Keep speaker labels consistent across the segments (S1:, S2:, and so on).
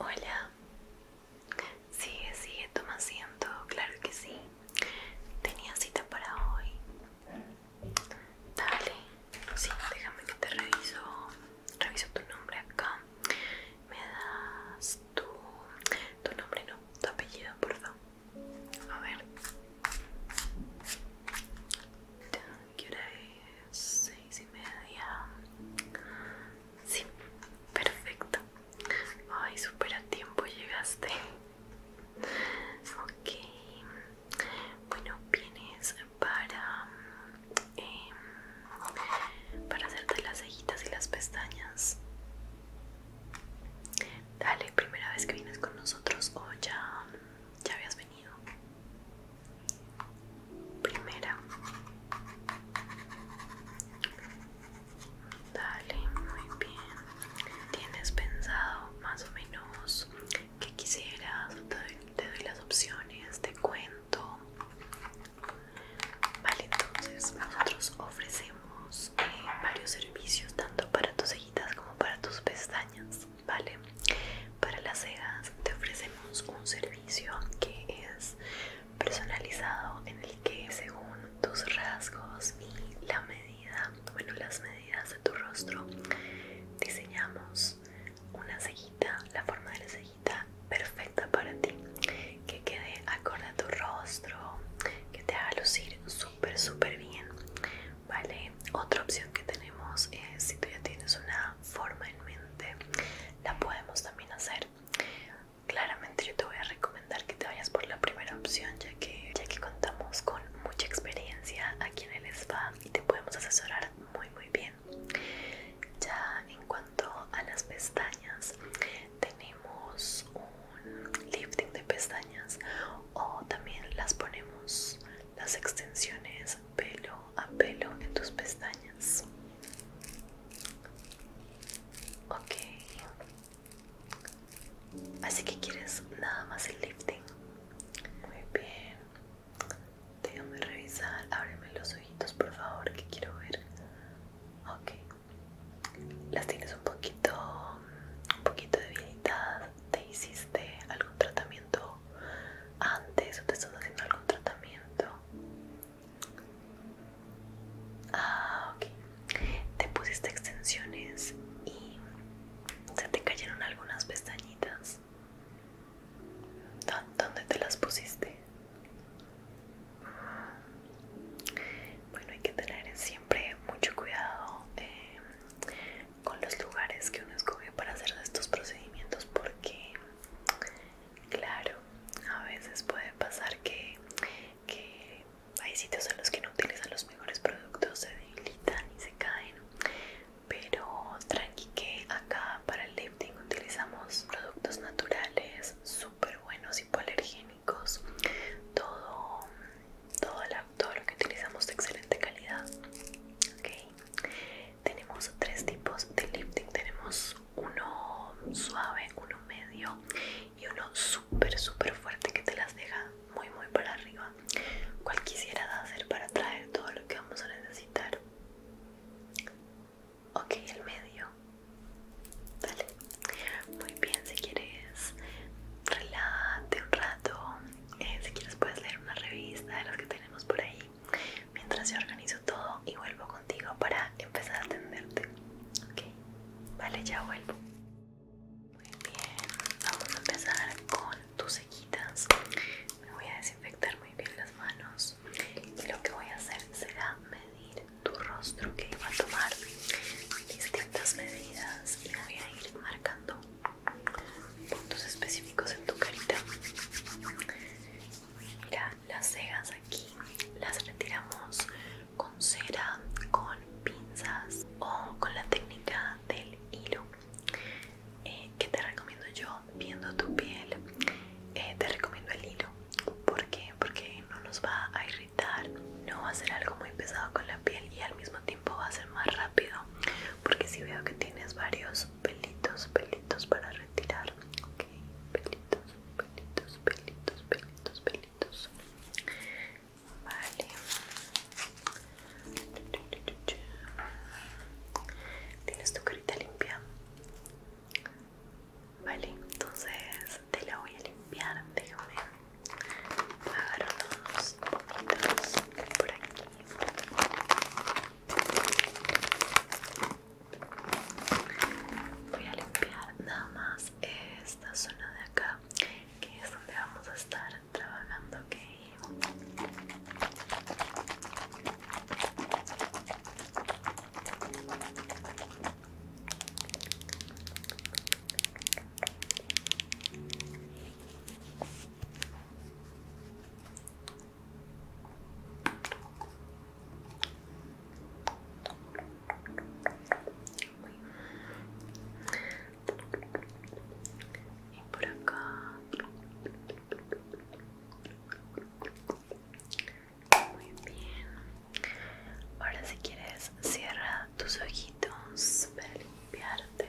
S1: Hola, sigue, sigue, toma asiento, claro que sí. Tenía cita para hoy. Dale, sí, déjame que te reviso. Reviso tu nombre acá. Me das tu, tu nombre, no, tu apellido, perdón. A ver. ¿Qué hora es? Seis y media. Sí, perfecto. Ay, súper a tiempo llegaste. Ok. Bueno, vienes para... Em, para hacerte las cejitas y las pestañas. Dale, primera vez que vienes con nosotros o ya, ya habías Primera. Dale, muy bien. ¿Tienes pensado más o menos qué quisieras? Te doy, las opciones, te cuento. Vale, entonces nosotros ofrecemos eh, varios servicios tanto para tus cejitas como para tus pestañas. ¿vale? Para las cejas te ofrecemos un servicio que es personalizado en el que según tus rasgos y la medida, bueno las medidas de tu rostro, diseñamos una cejita, la forma de la cejita perfecta para ti, que quede acorde a tu rostro, que te haga lucir súper súper bien ¿vale? Otra opción que tenemos es si tú ya tienes una forma en mente, la podemos también hacer. Claramente yo te voy a recomendar que te vayas por la primera opción ya que, ya que contamos con mucha experiencia aquí en el spa y te podemos asesorar muy muy bien. Ya en cuanto a las pestañas, tenemos un lifting de pestañas o también las ponemos las extensiones pelo a pelo en tus pestañas. Ok. Así que quieres nada más el lifting. Muy bien. Déjame revisar. Ábreme los ojitos, por favor, que quiero ver. Ok. Las tienes un poquito, un poquito debilitadas te hiciste algún tratamiento antes o te estás haciendo algún tratamiento. Ah, ok. Te pusiste extensiones y se te cayeron algunas pestañitas. ¿Dónde te las pusiste? Bueno, hay que tener siempre mucho cuidado eh, con los lugares que uno escoge para hacer estos procedimientos porque claro a veces puede pasar que, que hay sitios en los que no utilizan los mejores productos se debilitan y se caen pero tranqui que acá para el lifting utilizamos productos naturales súper buenos hipoalergénicos todo toda la todo lo que utilizamos de excelente calidad okay. tenemos tres tipos de lifting tenemos uno suave uno medio y uno súper súper fuerte que te las deja muy muy para arriba ¿cuál quisieras hacer para traer todo lo que vamos a necesitar ok el medio Dale. Muy bien, si quieres, relájate un rato, eh, si quieres puedes leer una revista de las que tenemos por ahí mientras yo organizo todo y vuelvo contigo para empezar a atenderte. Ok, vale, ya vuelvo. Muy bien, vamos a empezar con tus cejitas. Me voy a desinfectar muy bien las manos y lo que voy a hacer será medir tu rostro que va a tomar distintas medidas y voy a ir marcando puntos específicos en tu carita mira las cejas aquí las retiramos con cera con pinzas o con la técnica del hilo eh, que te recomiendo yo viendo tu piel eh, te recomiendo el hilo porque porque no nos va a irritar no va a ser algo muy pesado con la piel y al mismo tiempo va a ser más rápido porque si veo que tienes varios pelitos, pelitos para retirar. Ok, pelitos, pelitos, pelitos, pelitos, pelitos. Vale. Tienes tu carita limpia. Vale, entonces te la voy a limpiar. Déjame agarrar unos poquitos por aquí. Voy a limpiar nada más esta zona de acá, que es donde vamos a estar trabajando, y por acá muy bien ahora si quieres cierra tus ojitos para limpiarte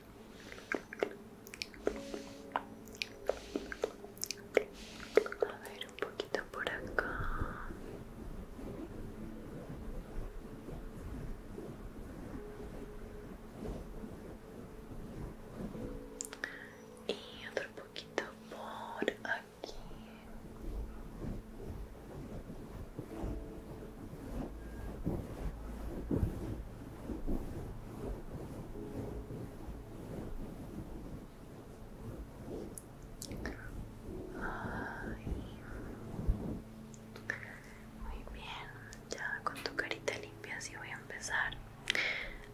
S1: A ver, un poquito por acá. Y otro poquito por aquí. Muy bien, ya con tu carita limpia sí voy a empezar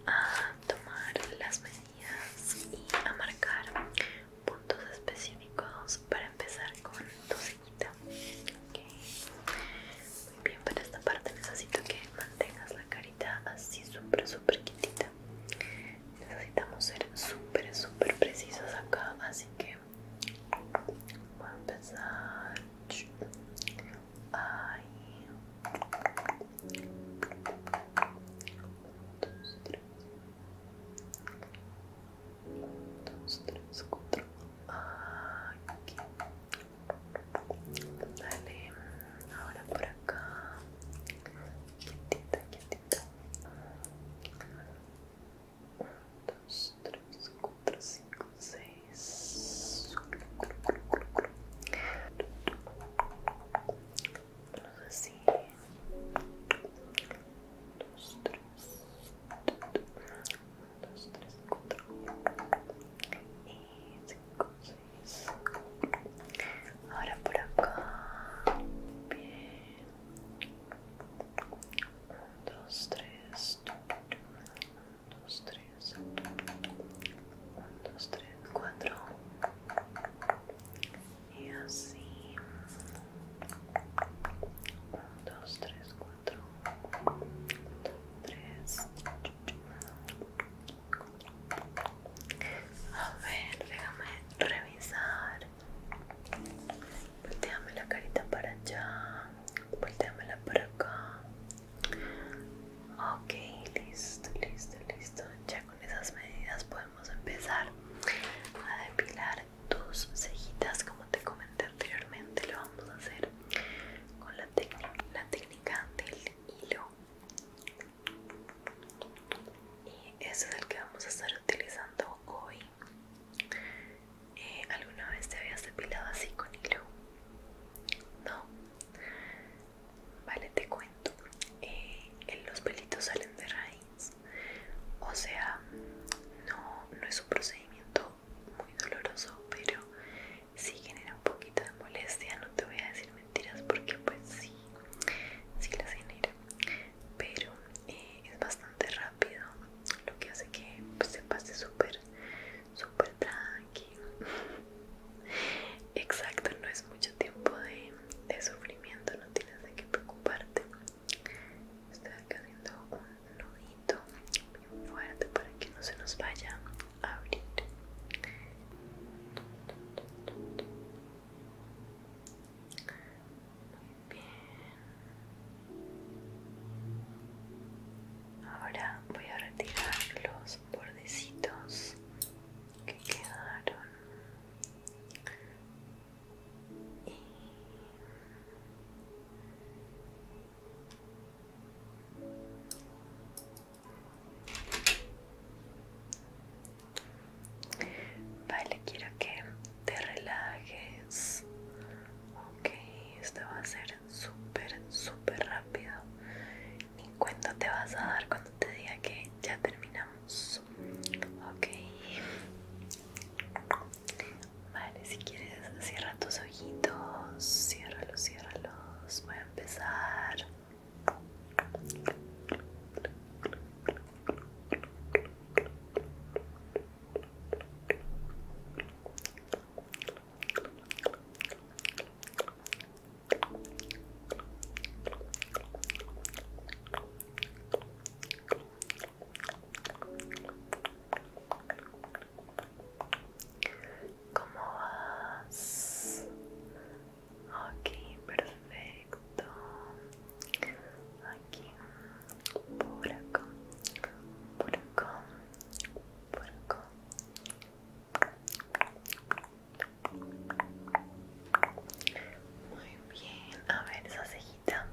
S1: a tomar las medidas y a marcar puntos específicos para empezar con muy bien, para esta parte necesito que mantengas la carita así súper, súper quietita. Necesitamos ser súper, súper precisos acá, así que voy a empezar ahí. uno,
S2: dos, tres. Uno, dos, tres, cuatro. Aquí. Dale, ahora por acá. Quietita, quietita. 1, 2, 3, 4, 5, 6. Así dos, tres, y cinco, seis. Ahora por acá. Bien. dos, tres. dos,
S1: tres. cuatro. Y así. 1, 2, 3, 4 3 A ver, déjame revisar. Volteame la carita para allá. Volteamela para acá. Ok, listo, listo, listo. Ya con esas medidas podemos empezar a depilar tus cejitas como te comenté anteriormente. Lo vamos a hacer con la, la técnica del hilo y ese es el que vamos a estar utilizando hoy eh, ¿alguna vez te habías depilado así con hilo? no vale te cuento eh, los pelitos salen de raíz o sea no, no es un procedimiento muy doloroso, pero si genera un poquito de molestia. No te voy a decir mentiras porque, pues, sí, sí las genera, pero eh, es bastante rápido, lo que hace que pues, se pase súper, súper tranquilo. Exacto, no es mucho tiempo de, de sufrimiento, no tienes de qué preocuparte. Estoy haciendo un nudito muy fuerte para que no se nos vaya a abrir muy bien ahora voy a retirar los bordecitos que quedaron Vale, quiero que te relajes. Ok, esto va a ser súper, súper rápido. Ni cuenta te vas a dar cuando te diga que ya terminamos. Ok. Vale, si quieres cierra tus ojitos, ciérralos, ciérralos. Voy a empezar ¿Cómo vas? Ok, perfecto. Aquí, por acá, por acá, por acá. Muy bien, a ver esa cejita.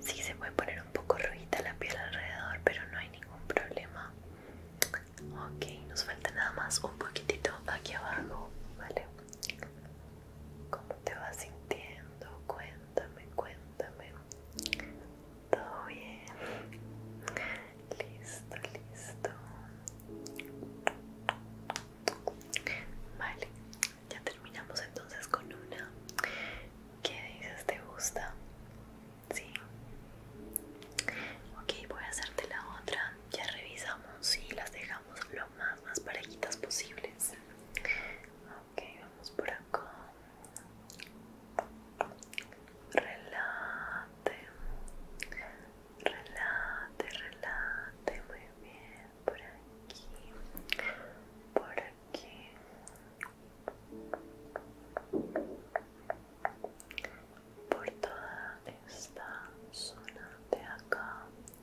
S1: Sí se puede poner un poco rojita la piel alrededor, pero no hay ningún problema ok nos falta nada más un poquitito aquí abajo vale cómo te vas sintiendo cuéntame cuéntame todo bien listo listo vale ya terminamos entonces con una ¿Qué dices? ¿Te gusta? Sí. Ok, voy a hacerte la otra. Ya revisamos y las dejamos lo más, más parejitas posibles. Ok, vamos por acá. Relate. Relate, relate. Muy bien. Por aquí. Por aquí por toda esta zona de acá okay.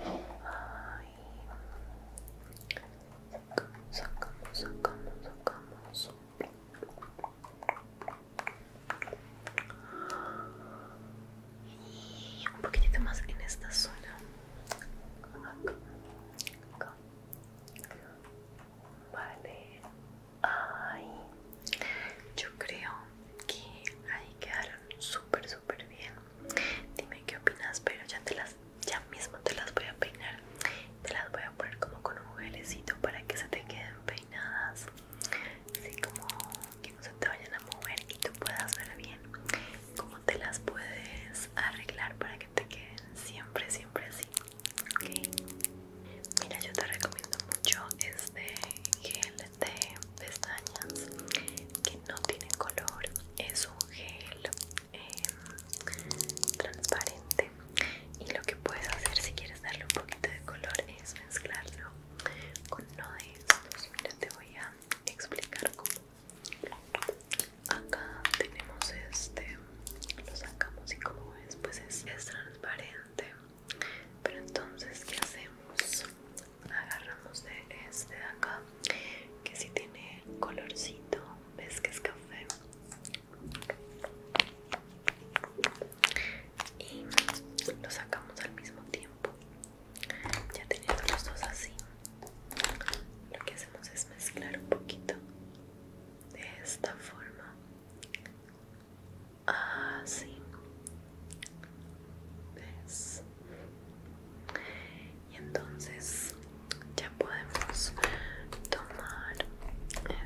S2: Ai. Sacamos, sacamos, sacamos, Y un poquitito más en esta zona. Acá,
S1: acá. Vale. Ay. Yo creo que hay que dar súper súper bien dime qué opinas pero ya te las ya mismo te las voy a peinar te las voy a poner como con un gelecito para que se te queden peinadas así como que no se te vayan a mover y tú puedas ver bien cómo te las puedes arreglar para que te queden siempre siempre así okay. mira yo te recomiendo mucho este gel de pestañas que no tiene color es un gel em, transparente y lo que puedes hacer si quieres darle un poquito de color es mezclarlo con uno de estos mira te voy a explicar cómo acá tenemos este lo sacamos y como ves pues es transparente pero entonces qué hacemos agarramos de este de acá que si tiene colorcito ves que es café y lo sacamos al mismo tiempo ya teniendo los dos así lo que hacemos es mezclar un poquito de esta forma así ah, ¿Ves? y entonces ya podemos tomar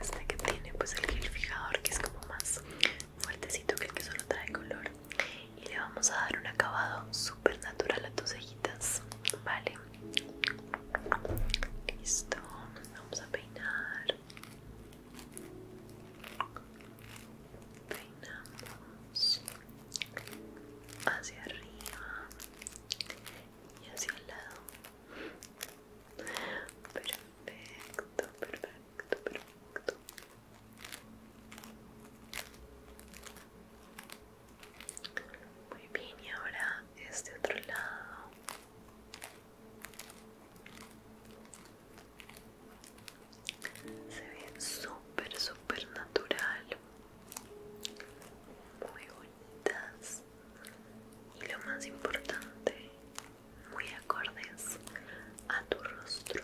S1: este que tiene pues el gel fijador que es como más fuertecito que el que solo trae color y le vamos a dar un acabado super natural a tus cejitas vale listo vamos a peinar peinamos hacia arriba y hacia el lado perfecto perfecto perfecto muy bien y ahora este otro lado se ven súper súper natural muy bonitas y lo más importante muy acordes a tu rostro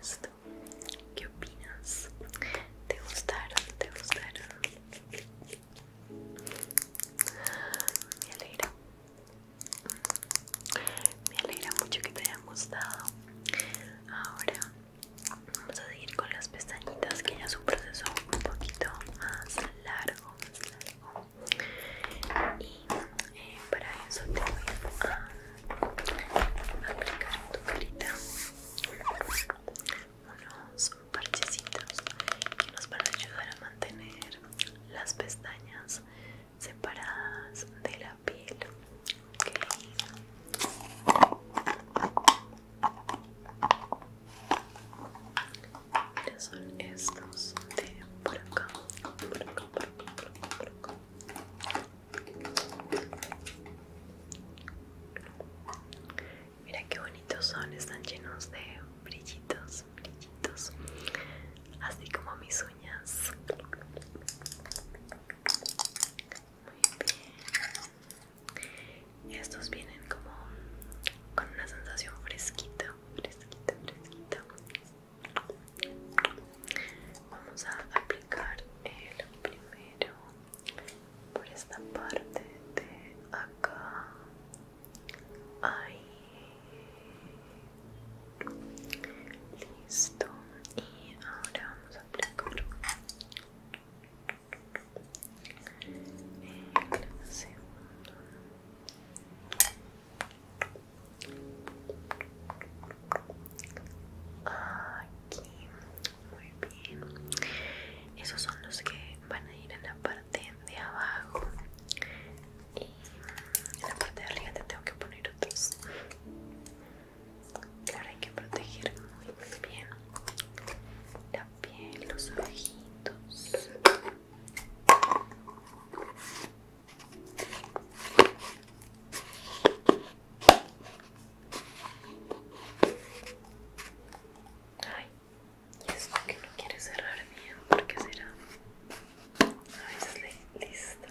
S1: Listo. ¿Qué opinas? ¿Te gustaron? ¿Te gustaron? Me alegra. Me alegra mucho que te hayan gustado. Ahora vamos a seguir con las pestañitas que ya es un proceso un poquito más largo, más largo y eh, para eso te voy a aplicar en tu carita unos parchecitos que nos van a ayudar a mantener las pestañas separadas de la piel ok son estos de por acá, por acá Mira qué bonitos son, están llenos de brillitos, brillitos, así como mis uñas. Muy bien. Estos vienen como con una sensación fresquita, fresquita, fresquita. Vamos a aplicar el primero por esta parte de acá. Ahí. Listo. Y ahora vamos a aplicar el segundo. Aquí, muy bien. Esos son los que van a ir en la parte de abajo. Y en la parte de arriba te tengo que poner otros. Claro, hay que proteger muy, muy bien la piel, los ojitos. Ay, y esto que no quiere cerrar bien, porque será? A veces listo.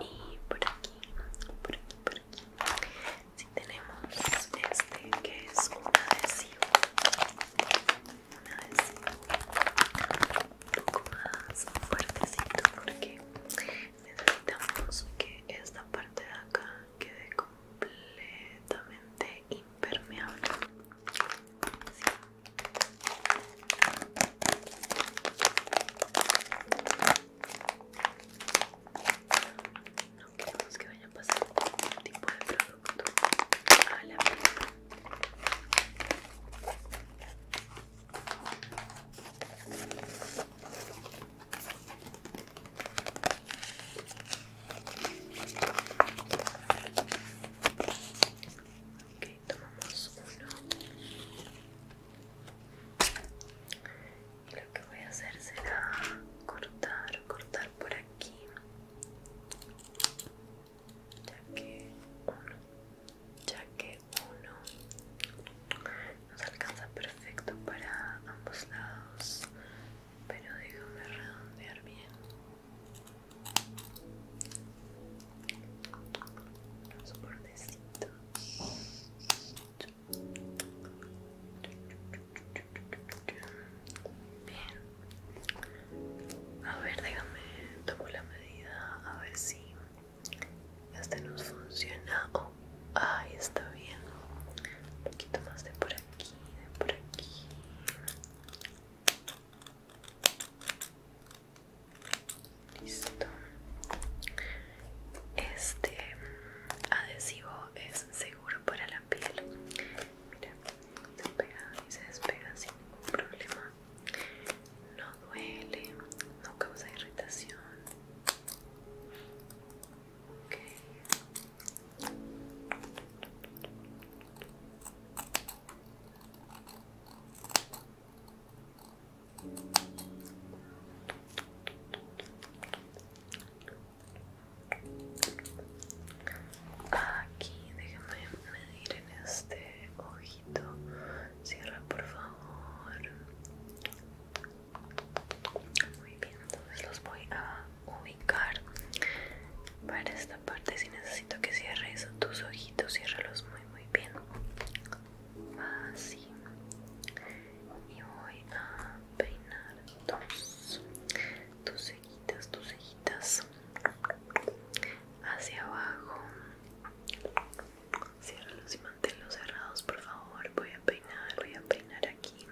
S1: Y por aquí, por aquí, por aquí si tenemos este que es un adhesivo un adhesivo un poco más fuertecito porque necesitamos que esta parte de acá quede completamente impermeable no queremos que vaya a pasar ningún tipo de producto a tomamos uno lo que voy a hacer será cortar, cortar por aquí ya que uno ya que uno nos alcanza perfecto para ambos lados pero déjame redondear bien un bordecito Bien. A ver, déjame tomo la medida a ver si este nos funciona. Oh, ahí está bien. Un poquito más de por aquí, de por aquí. Listo este adhesivo es seguro para la piel mira se pega y se despega sin ningún problema no duele no causa irritación Aquí, déjame medir en este ojito. Cierra, por favor. Muy bien, entonces los voy a ubicar para esta parte. Si necesito que cierres tus ojitos, ciérralos muy, muy bien. Así. Y voy a peinar dos tus ceguitas tus ceguitas hacia abajo. Ciérralos y manténlos cerrados, por favor. Voy a peinar, voy a peinar aquí.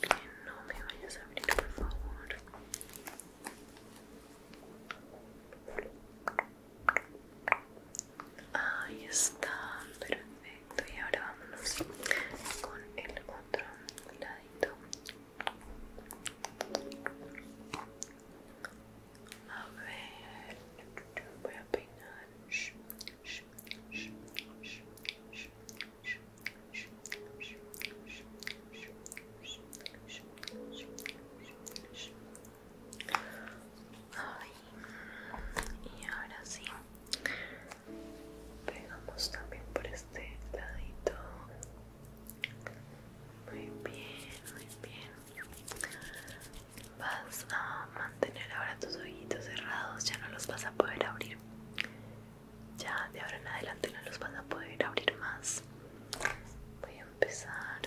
S1: Bien, no me vayas a abrir, por favor. Ahí está, perfecto. Y ahora vámonos con el otro ladito. A ver, voy a peinar y ahora sí pegamos también por este ladito muy bien muy bien vas a mantener ahora tus ojitos cerrados ya no los vas a poder abrir ya de ahora en adelante no los vas a poder abrir más voy empezar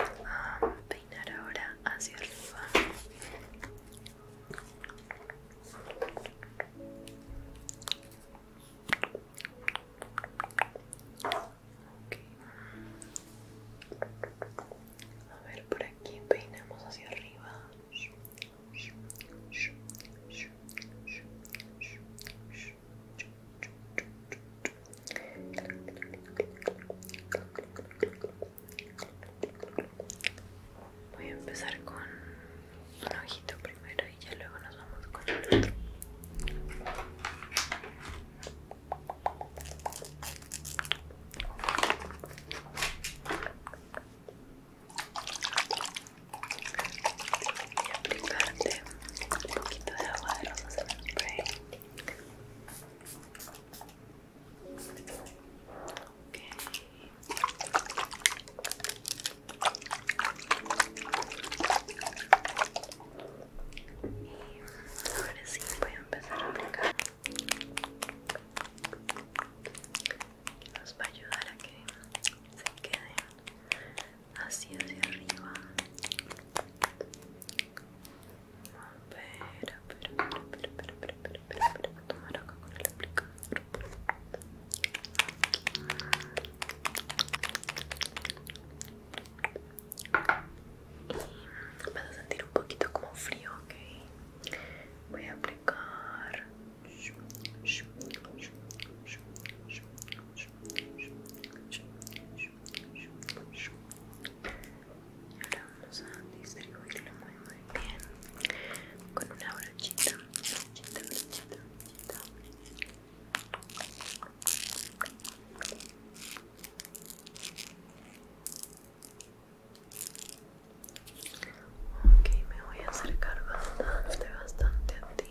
S1: a peinar ahora hacia arriba a ver por aquí peinamos hacia arriba Voy a empezar con un ojito primero y ya luego nos vamos con el otro. un poquito de agua de rosas en el spray okay. y ahora sí voy a empezar a aplicar nos va a ayudar a que se queden así hacia arriba tomar con el aplicador vas a sentir un poquito como frío, ok voy a aplicar ahora vamos a distribuirlo muy muy bien con una brochita brochita brochita brochita ok me voy a acercar bastante bastante a ti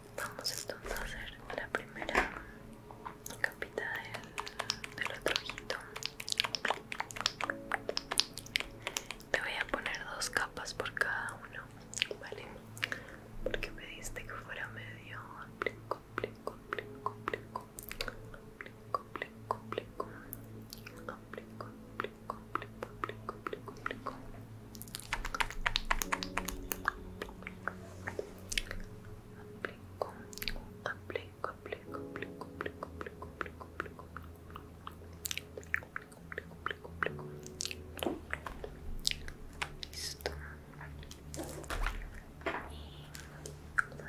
S1: Vamos entonces a hacer la primera capita del, otro ojito. Te voy a poner dos capas por cada uno, ¿vale? Porque me diste que fuera medio aplico, aplico, aplico, aplico, aplico,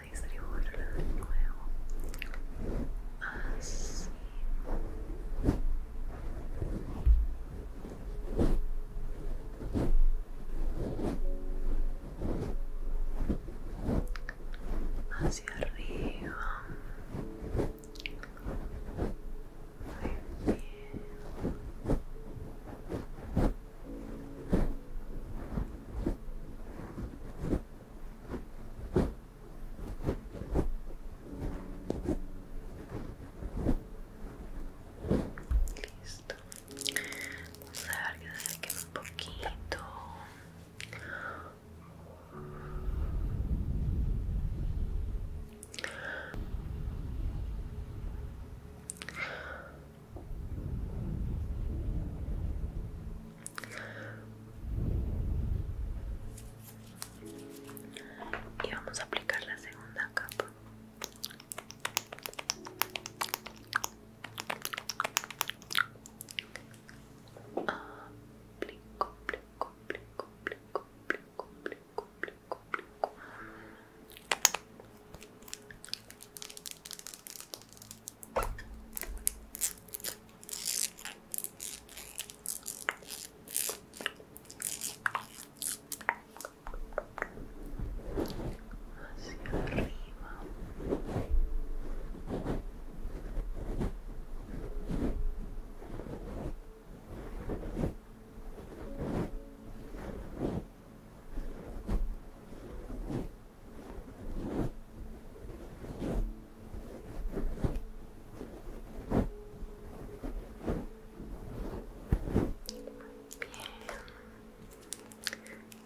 S1: listo y lo de nuevo así hacia arriba listo Vamos a ver que se un poquito. Y vamos a aplicar la segunda capa. Aplico, aplico, hacia arriba Bien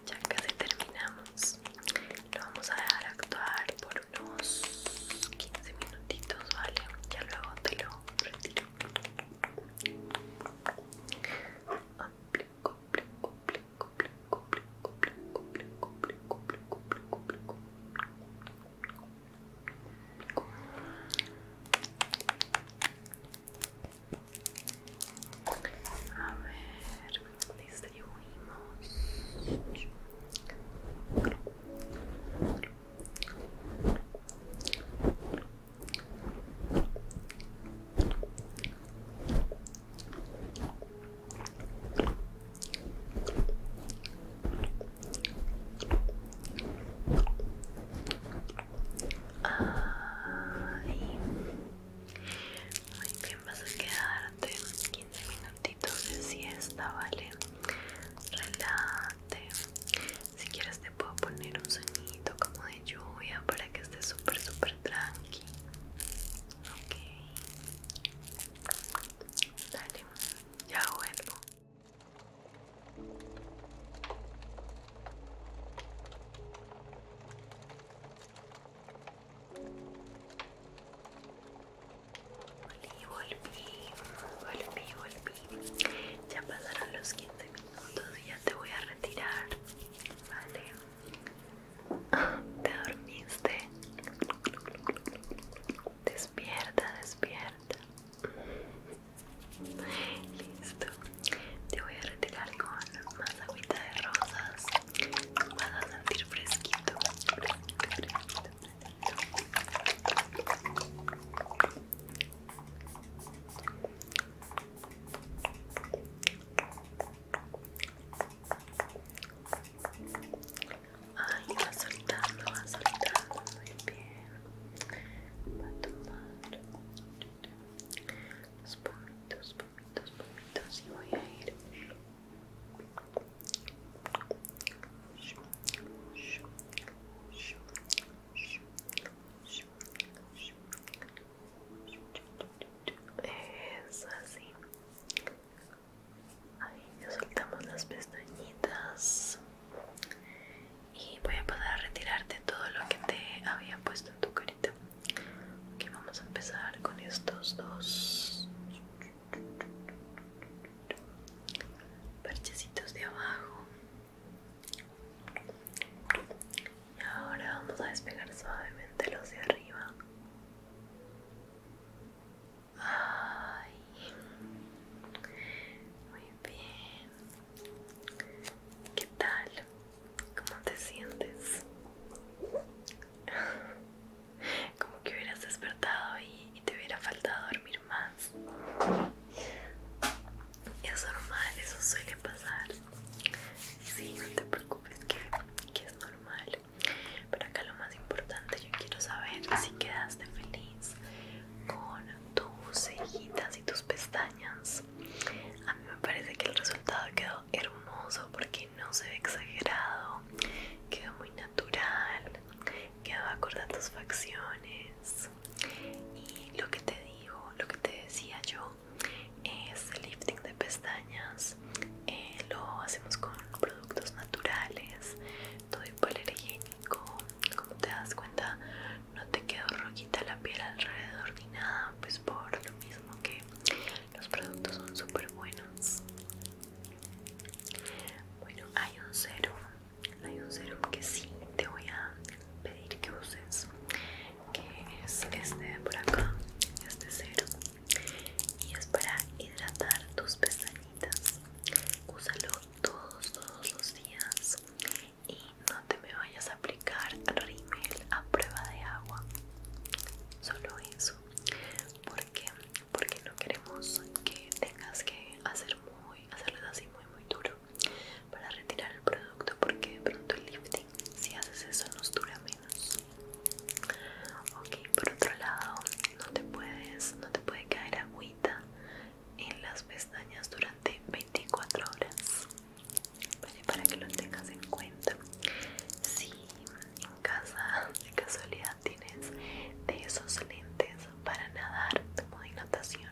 S1: ya casi terminamos lo vamos a dejar actuar por unos 15 minutitos vale ya luego te lo retiro a ver, distribuimos. Ay, muy bien, vas a quedarte 15 minutitos de siesta, ¿vale? Relate Si quieres te puedo poner un sonidito como de lluvia para que estés súper, súper tranqui. Ok. Dale, ya vuelvo. Volví, volví, volví, volví. Ya pasaron los 15 minutos y ya te voy a retirar. Vale. Te dormiste. Despierta, despierta. Listo te voy a retirar con más agüita de rosas vas a sentir fresquito fresquito, fresquito, fresquito. Ay, va soltando, va soltando, muy bien. Va a tomar los pomitos, pomitos y voy a ir es así ahí ya soltamos las pestañitas y voy a poder retirarte todo lo que te había puesto en tu cara vamos a empezar con estos dos parchecitos de abajo. Y ahora vamos a despegar suavemente los de arriba. Ay, muy bien. ¿Qué tal? ¿Cómo te sientes? Como que hubieras despertado y, te hubiera faltado dormir más. Es normal, eso suele pasar. Sí, no te preocupes que, que es normal. Pero acá lo más importante, yo quiero saber si quedaste feliz con tus cejitas y tus pestañas. A mí me parece que el resultado quedó hermoso porque no se ve exagerado, quedó muy natural, quedó acorde a tus facciones. Y lo que te digo, lo que te decía yo, es el lifting de pestañas. Eh, lo hacemos con productos naturales, todo hipoalergénico, higiénico. Como te das cuenta, no te quedó roquita la piel alrededor ni nada, pues por lo mismo que los productos son súper buenos. Bueno, hay un serum, hay un serum que sí te voy a pedir que uses, que es este por acá, este serum, y es para hidratar tus pestañitas. Úsalo todos, todos los días te me vayas a aplicar rímel a prueba de agua solo eso porque porque no queremos que tengas que hacer muy hacerles así muy muy duro para retirar el producto porque de pronto el lifting si haces eso nos dura menos ok por otro lado no te puedes no te puede caer agüita en las pestañas durante 24 horas Vale, para que lo tengas en cuenta. Si en casa de casualidad tienes de esos lentes para nadar, como de natación,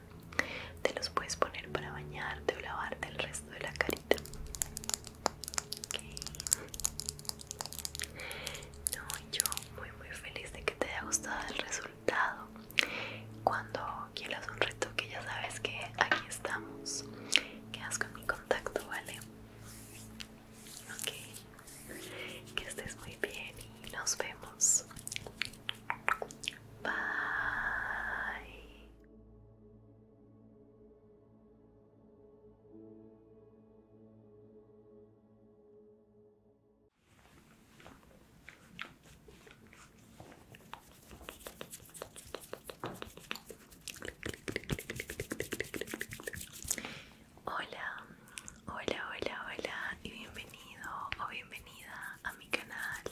S1: te los puedes poner para bañarte o lavarte el resto de la carita. Okay. No, yo muy muy feliz de que te haya gustado el resultado. Cuando quieras un retoque ya sabes que aquí estamos quedas con mi contacto, ¿vale? Ok, que estés muy bien y nos vemos. Bye. Hola, hola, hola, hola y bienvenido o bienvenida a mi canal.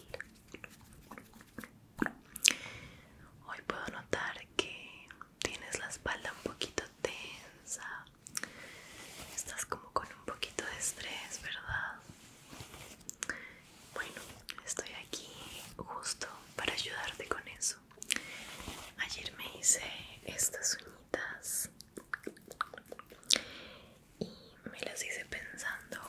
S1: Hoy puedo notar que tienes la espalda un poquito tensa. Estás como con un poquito de estrés, ¿verdad? Bueno, estoy aquí justo para ayudarte con eso. Ayer me hice estas uñitas y me las hice pensando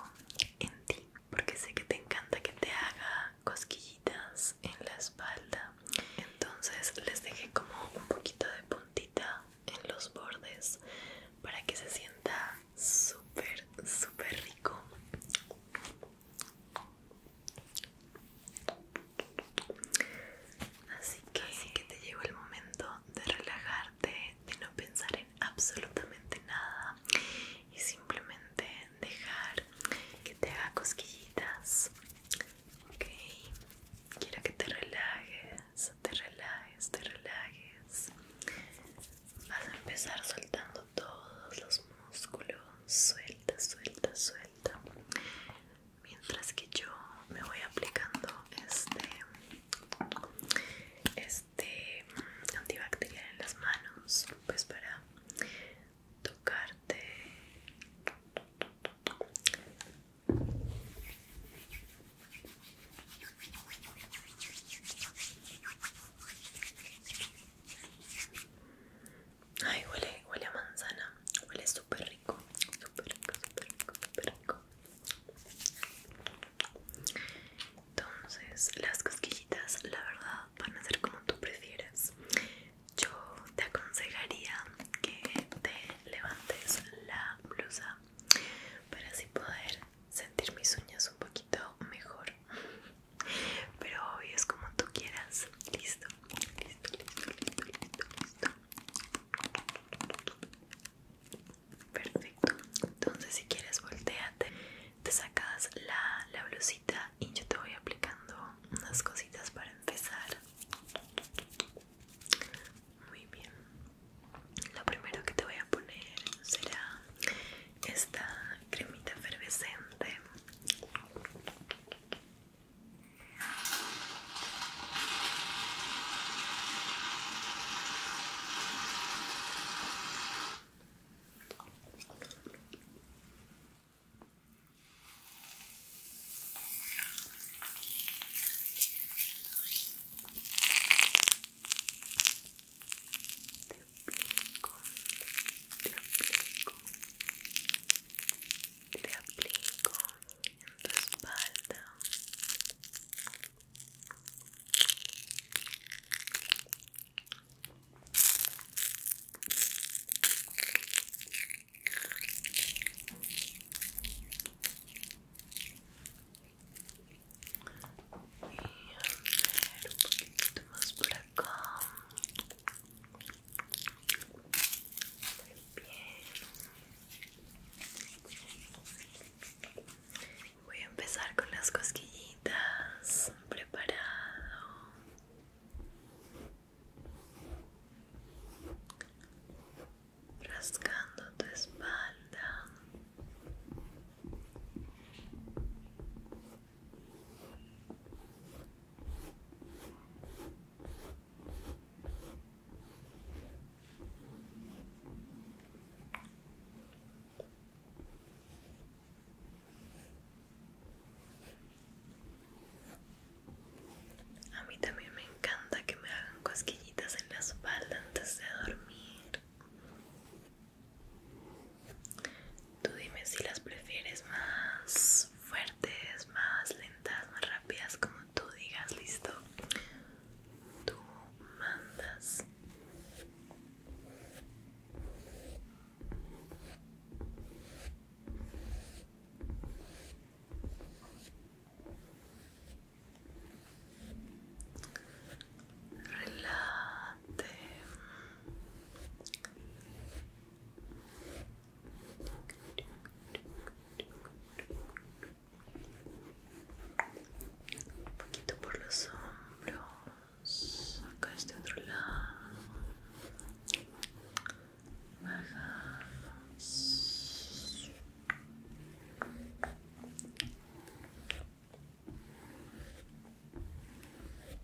S1: en ti, porque sé que te encanta que te haga cosquillitas en la espalda. Entonces les dejé como un poquito de puntita en los bordes para que se sienta súper, súper rico. Así que, que te llegó el momento de relajarte, de no pensar en absolutamente nada y simplemente dejar que te haga cosquillitas. Ok, quiero que te relajes, te relajes, te relajes. Vas a empezar soltando todos los músculo suelta, suelta, suelta. Mientras que yo me voy aplicando este, este antibacterial en las manos, pues para tocarte. Ay, huele, huele a manzana. Huele súper rico. Súper rico, súper rico, súper rico. Entonces, las cosquillitas, la verdad, van a ser como tú prefieras. Yo te aconsejaría que te levantes la blusa para así poder sentir mis uñas un poquito mejor. Pero hoy es como tú quieras. Listo, listo, listo, listo, listo, Perfecto. Entonces si quieres volteate, te sacas la, la blusita y yo te voy aplicando unas cositas para empezar. Muy bien. Lo primero que te voy a poner será esta cremita efervescente te aplico en tu espalda y a ver un poquito más por acá Voy a empezar con las cosquillitas. Preparado. Rascando tu espalda. A mí también me encanta que me hagan cosquillitas en la espalda antes de dormir. Tú dime si las prefieres más fuertes, más lentas, más rápidas, como tú digas, listo.
S2: Tú mandas.
S1: Un poquito por los hombros, acá este otro lado.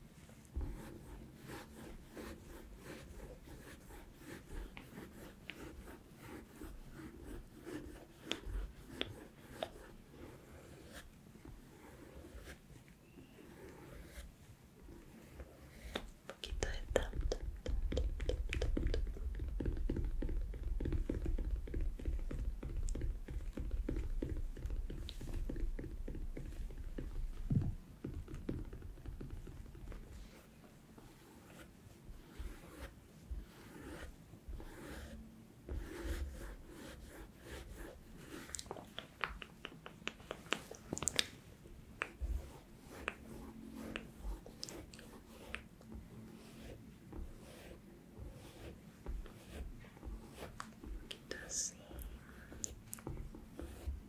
S1: Un poquito de tanto
S2: Así.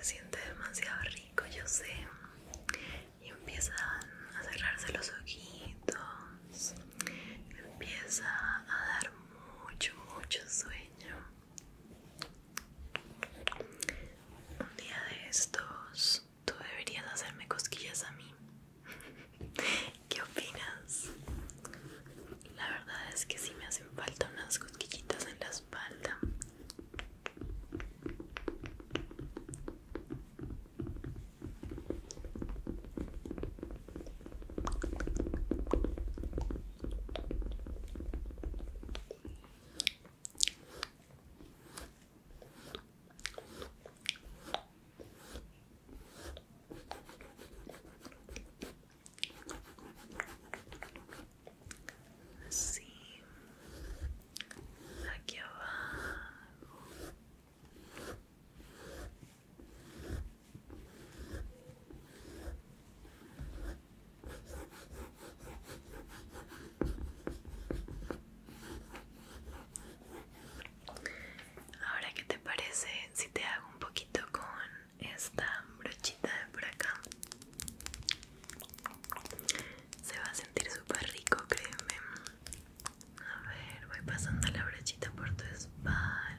S1: Se siente demasiado rico, yo sé. Y empiezan a cerrarse los ojitos. Empieza a dar mucho, mucho sueño. Un día de estos, tú deberías hacerme cosquillas a mí. ¿Qué opinas? La verdad es que sí me hacen falta unas cosquillitas en la espalda. Así, aquí abajo. Ahora, ¿qué te parece si te hago un poquito con esta brochita de por acá? Se va a sentir súper rico, créeme. A ver, voy pasando la brochita por tu espalda.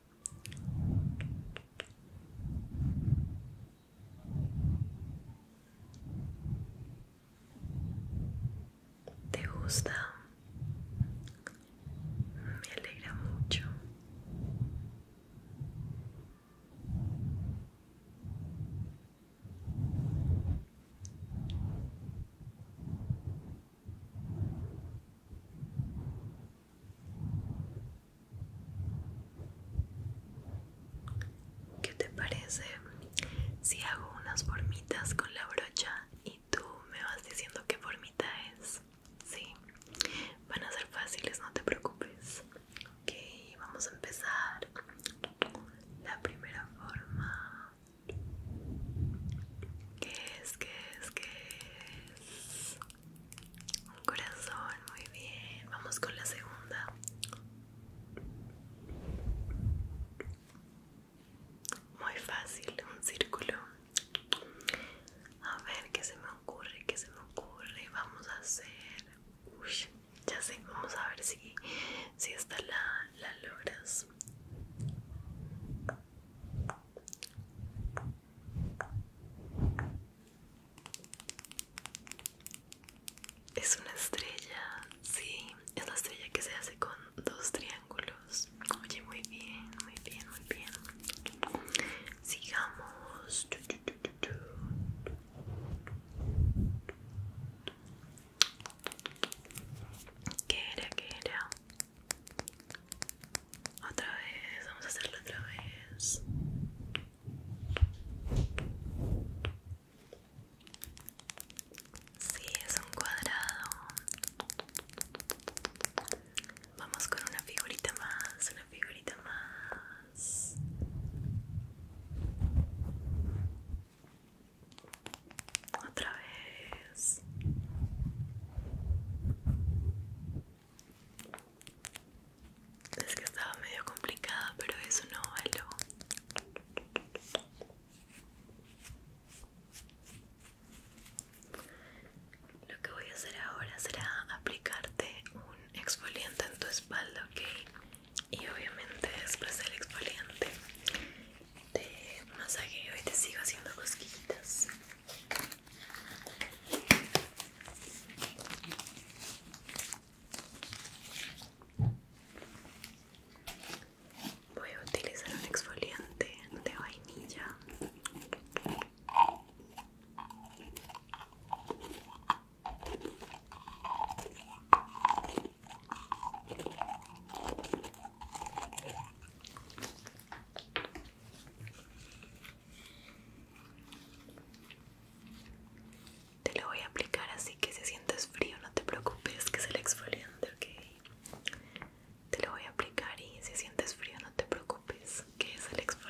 S1: ¿Te gusta? Me alegra mucho. ¿Qué te parece si hago unas formitas con la brocha y tú me vas diciendo qué formita es? Sí, van a ser fáciles, no te preocupes. Ok, vamos a empezar. La primera forma. ¿Qué es? ¿Qué es? ¿Qué es? Un corazón, muy bien. Vamos con la segunda. Muy fácil, un círculo. A ver qué se me ocurre, qué se me ocurre. Vamos a hacer. Uy, ya sé, vamos a ver si, si esta la, la logras. Es una estrella, sí, es la estrella que se hace con dos triángulos. Oye, muy bien, muy bien, muy bien. Sigamos. ¿Qué era? ¿Qué era? Otra vez, vamos a hacerlo otra vez. Sí, es un
S2: cuadrado. Vamos con una figurita más, una figurita más.
S1: Otra vez. Es que estaba medio complicada, pero eso no valió. Lo que voy a hacer ahora será aplicarte un exfoliante en tu espalda, ¿ok? Y obviamente después del exfoliante te masajeo y te sigo haciendo cosquillitas. Voy a utilizar un exfoliante de vainilla. Te lo voy a aplicar así que si sientes frío no te preocupes que es el exfoliante, Te lo voy a aplicar y si sientes frío no te preocupes que es el exfoliante.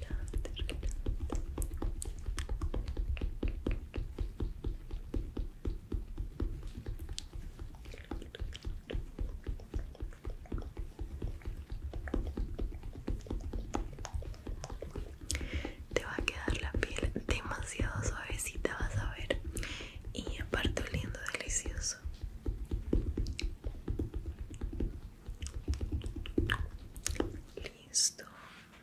S1: Te va a quedar la piel demasiado suavecita, vas a ver. Y aparte oliendo delicioso. Listo.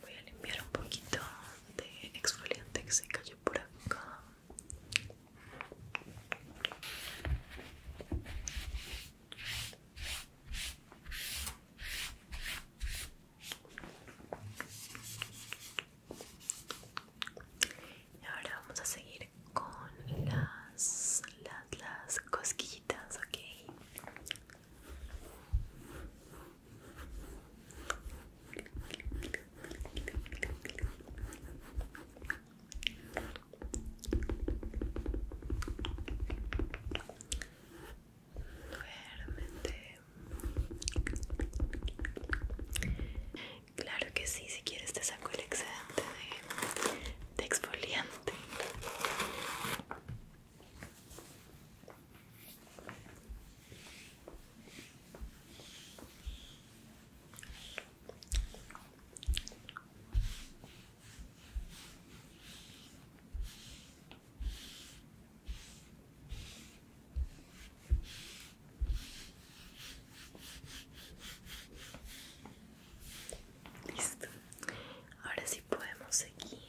S1: Voy a limpiar un poquito de exfoliante que se cayó por acá. Y ahora vamos a seguir con las, las, las cosquillitas, okay Claro que sí, si quieres te saco el excedente de, de exfoliante. Listo. Ahora sí podemos seguir.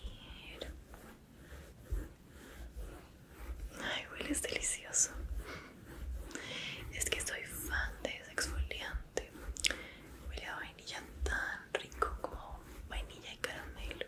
S1: Ay, es delicioso. Es que soy fan de ese exfoliante. Huele a vainilla tan rico como vainilla y caramelo.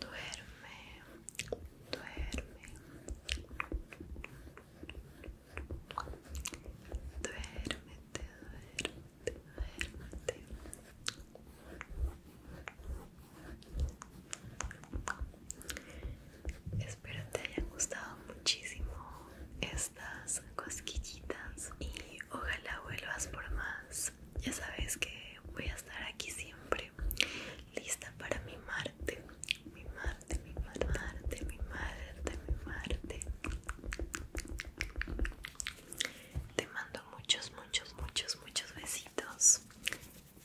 S2: Duerme, duerme, te duerme Espero te hayan gustado muchísimo estas
S1: cosquillitas y ojalá vuelvas por más. Ya sabes que voy a estar aquí siempre, lista para mi Marte, mi Marte, mi Marte. Te mando muchos, muchos, muchos, muchos besitos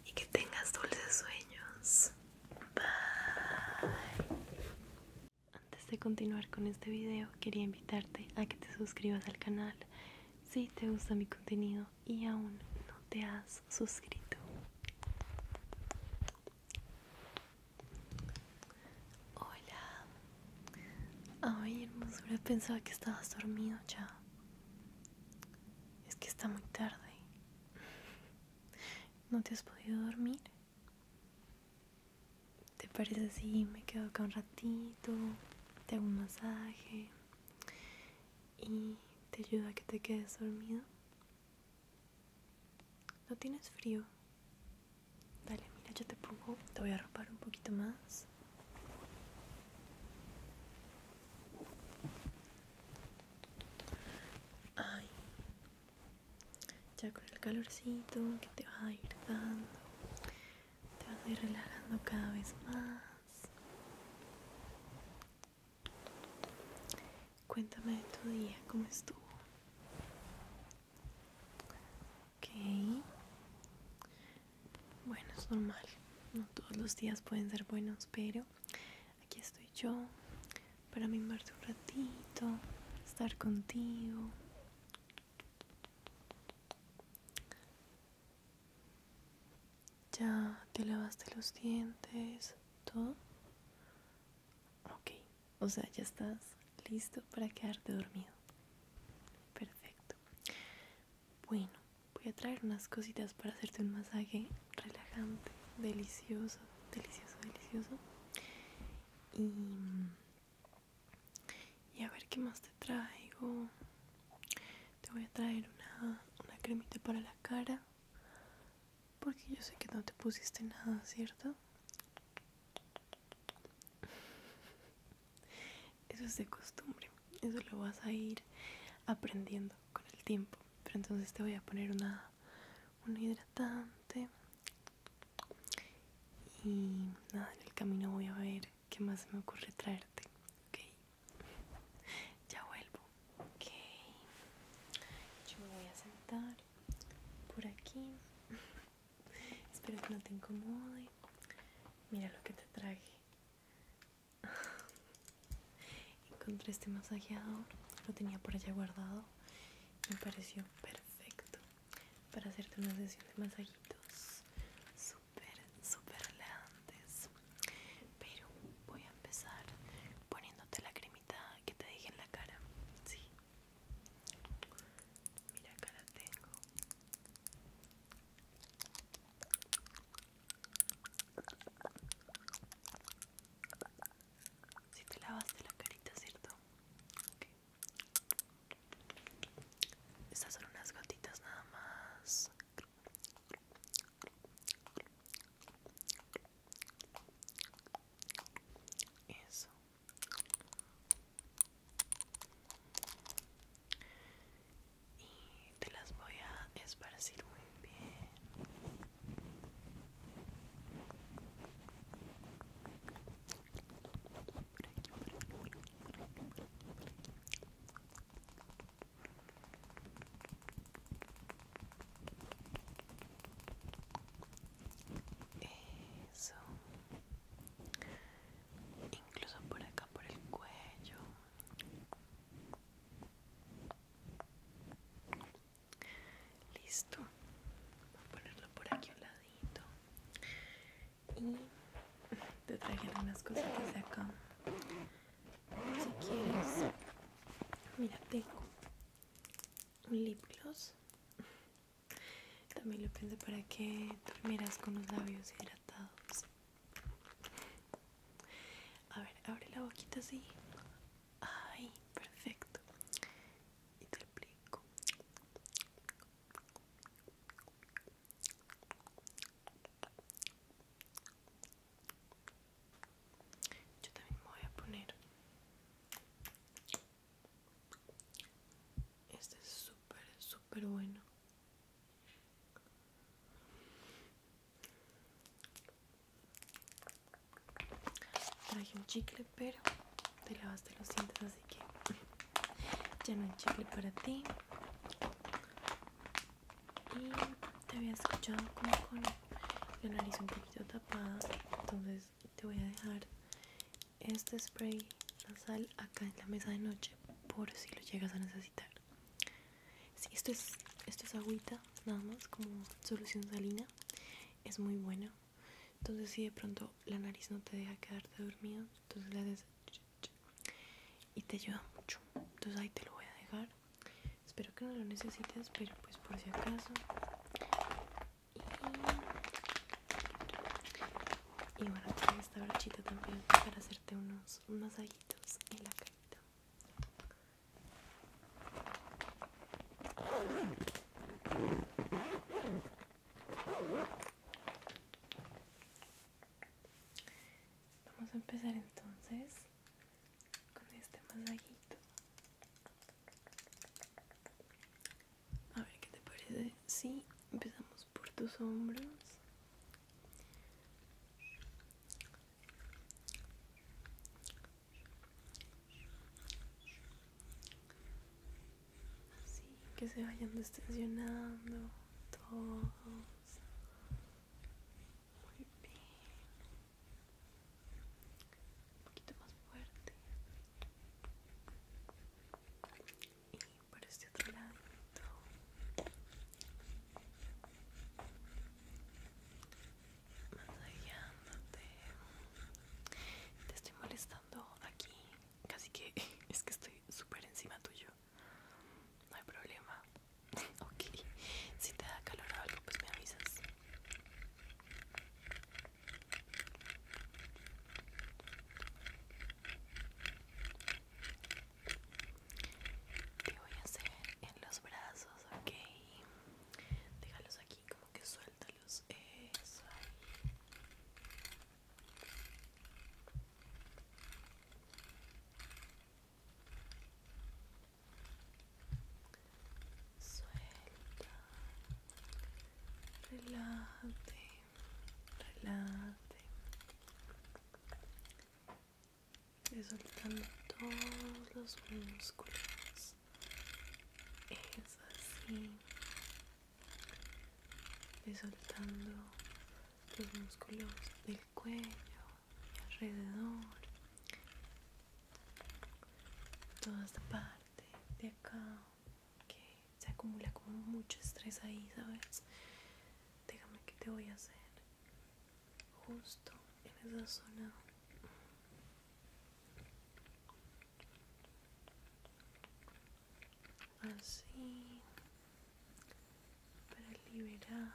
S1: y que tengas dulces sueños. Bye. Antes de continuar con este video, quería invitarte a que te suscribas al canal si te gusta mi contenido y aún no te has suscrito. Hola. Ay, hermosura, pensaba que estabas dormido ya. Es que está muy tarde. ¿No te has podido dormir? ¿Te parece si me quedo acá un ratito? Te hago un masaje y te ayuda a que te quedes dormido. ¿No tienes frío? Dale, mira, yo te pongo, te voy a arropar un poquito más. Ay, ya con el calorcito que te va a ir dando, te vas a ir relajando cada vez más. Cuéntame de tu día, cómo estuvo. Ok, bueno, es normal. No todos los días pueden ser buenos, pero aquí estoy yo para mimarte un ratito, estar contigo. Ya te lavaste los dientes, todo. Ok, o sea, ya estás listo para quedarte dormido. Perfecto. Bueno, voy a traer unas cositas para hacerte un masaje relajante, delicioso, delicioso, delicioso. Y, a ver qué más te traigo. Te voy a traer una, una cremita para la cara. Porque yo sé que no te pusiste nada, ¿cierto? Eso es de costumbre, eso lo vas a ir aprendiendo con el tiempo. Pero entonces te voy a poner una, un hidratante. Y nada, en el camino voy a ver qué más me ocurre traerte. Ok, ya vuelvo. Ok, yo me voy a sentar por aquí. Espero que no te incomode. Mira lo que te traje. Encontré este masajeador, lo tenía por allá guardado. Me pareció perfecto para hacerte una sesión de masajitos súper, súper relajantes. Pero voy a empezar poniéndote la cremita que te dije en la cara. Sí. Mira, acá la tengo. Si te lavaste la carita, ¿cierto? Estas son unas gotitas nada más. Eso y te las voy a esparcir muy bien. Eso, incluso por acá, por el cuello. Listo. Voy a ponerlo por aquí a un ladito. Y te traje algunas cositas de acá.
S2: Si quieres.
S1: Mira, tengo un lip gloss. También lo pensé para que durmieras con los labios hidratados. A ver, abre la boquita así. Ay, perfecto. Y te explico. Yo también me voy a poner. Este es súper, súper bueno. Traje un chicle, pero te lavaste los dientes, así que ya no hay chicle para ti. Y te había escuchado como con la nariz un poquito tapada, entonces te voy a dejar este spray nasal acá en la mesa de noche por si lo llegas a necesitar si esto es, esto es agüita, nada más como solución salina. Es muy buena. Entonces si de pronto la nariz no te deja quedarte dormido, entonces le haces y te ayuda mucho. Entonces ahí te lo voy a dejar. Espero que no lo necesites, pero pues por si acaso. Y, bueno trae esta brochita también para hacerte unos masajitos en la Vamos a empezar entonces con este masajito. A ver qué te parece si sí, empezamos por tus hombros. Así que se vayan distensionando todos. bien. Un poquito más fuerte. Y por este otro lado. Te estoy molestando aquí. Casi que es que estoy súper encima tuyo. No hay problema. ok. Si te da calor o algo, pues me avisas. Te voy a hacer en los brazos, ok. Déjalos aquí, como que suéltalos. Eso ahí. Suelta, relájate, relájate, Desoltando soltando todos los músculos. Es así. Desoltando soltando los músculos del cuello y alrededor. Toda esta parte de acá que se acumula como mucho estrés ahí, ¿sabes? Déjame que te voy a hacer justo en esa zona así para liberar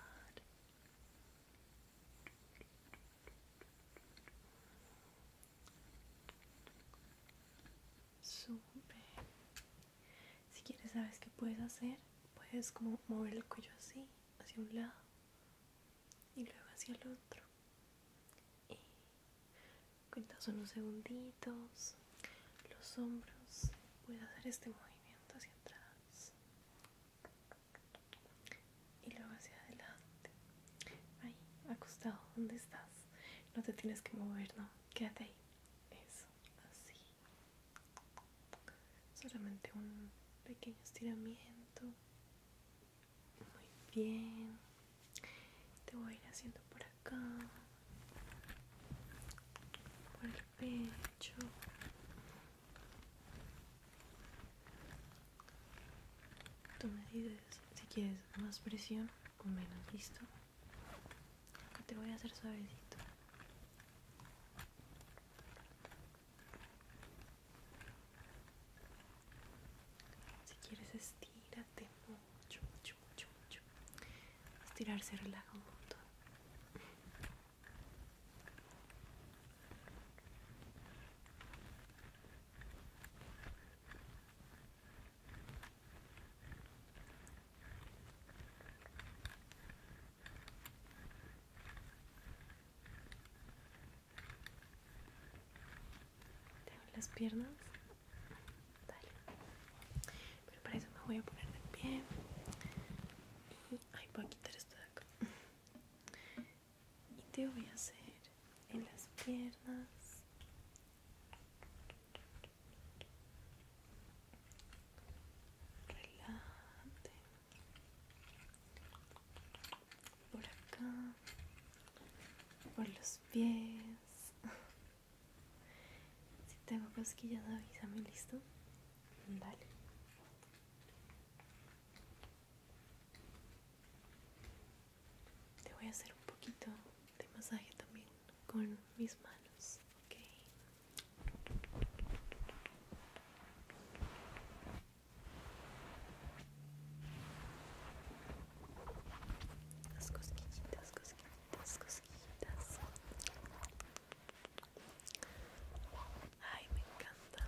S1: sube si quieres sabes qué puedes hacer puedes como mover el cuello así hacia un lado y luego hacia el otro. Y cuentas unos segunditos, los hombros, voy a hacer este movimiento hacia atrás y luego hacia adelante. Ahí, acostado, ¿dónde estás? No te tienes que mover, no, quédate ahí. Eso, así solamente un pequeño estiramiento muy bien te voy a ir haciendo por acá por el pecho tú me dices si quieres más presión o menos listo te voy a hacer suavecito si quieres estírate mucho, mucho, mucho, mucho. Estirarse relaja un tengo las piernas. Dale. Pero para eso me voy a poner de pie. ay, voy quitar esto de acá. Y te voy a hacer en las piernas. Relájate por acá por los pies si tengo cosquillas avísame listo dale te voy a hacer un poquito de masaje también con mis manos ok
S2: las cosquillitas, cosquillitas, cosquillitas. Ay, me encanta.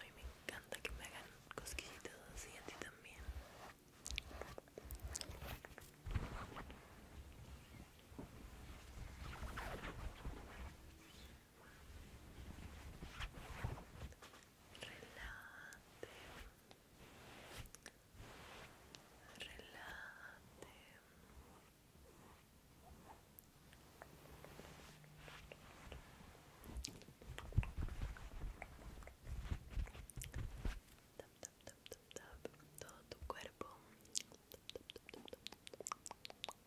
S2: Ay, me encanta que me hagan cosquillitas así a ti también. Relate. Relate. Tap, tap, tap, tap, tap. Todo tu cuerpo.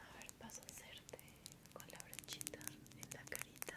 S1: A ver, paso a hacerte con la brochita en la carita.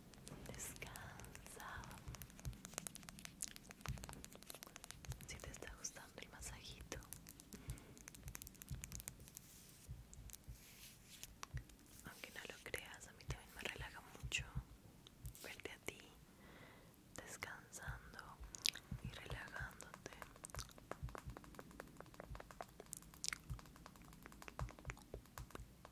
S1: descansa si te está gustando el masajito aunque no lo creas a mí también me relaja mucho verte a ti descansando y relajándote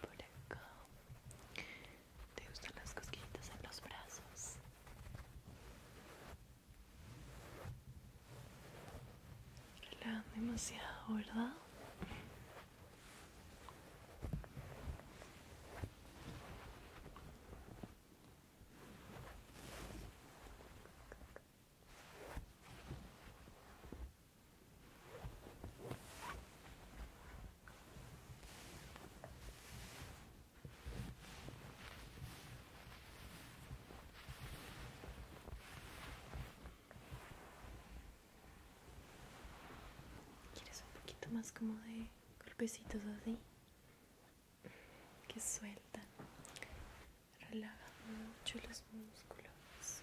S1: por acá te gustan las cosquillitas en los brazos relajan demasiado verdad Quieres un poquito más como de golpecitos así que sueltan, relajan mucho los músculos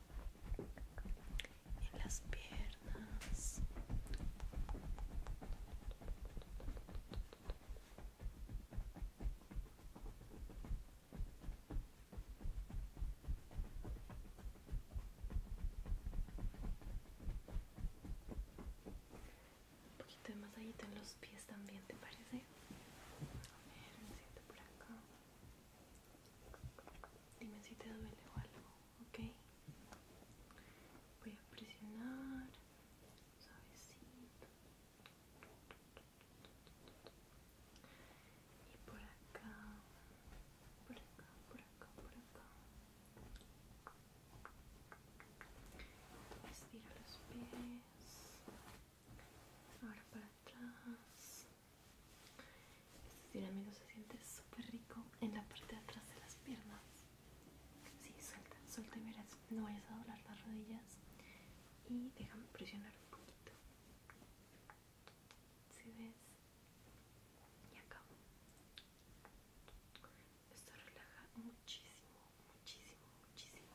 S1: en las piernas
S2: un
S1: poquito de masajito en los pies también, ¿te parece? A ver, por acá. Dime si te duele o algo, ¿ok? Voy a presionar suavecito. Y por acá, por acá, por acá, por acá. Estira los pies. Ahora para atrás. Este dinamito se siente súper rico en la parte de atrás de las piernas. Sí, suelta, suelta y no vayas a doblar las rodillas y déjame presionar un poquito. Si ves, y acá. Esto relaja muchísimo, muchísimo, muchísimo.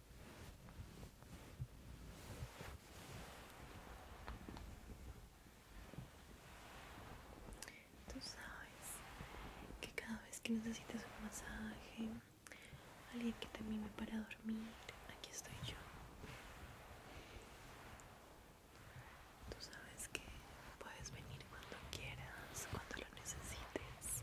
S1: Tú sabes que cada vez que necesites un masaje, alguien que te mime para dormir, aquí estoy yo. Tú sabes que puedes venir cuando quieras, cuando lo necesites.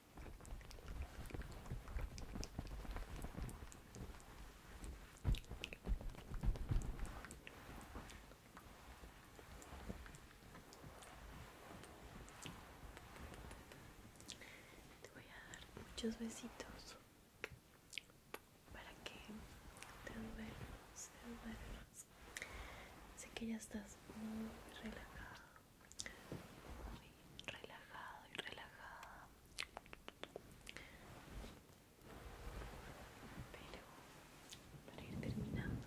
S1: Te voy a dar muchos besitos para que te duermas, te duermas. Sé que ya estás muy relajado, muy relajado y relajada. Pero para ir terminando,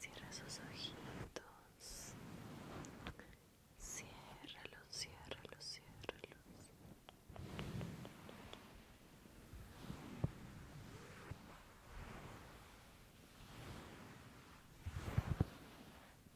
S1: Cierra sus ojitos. Ciérralos, ciérralos, ciérralos.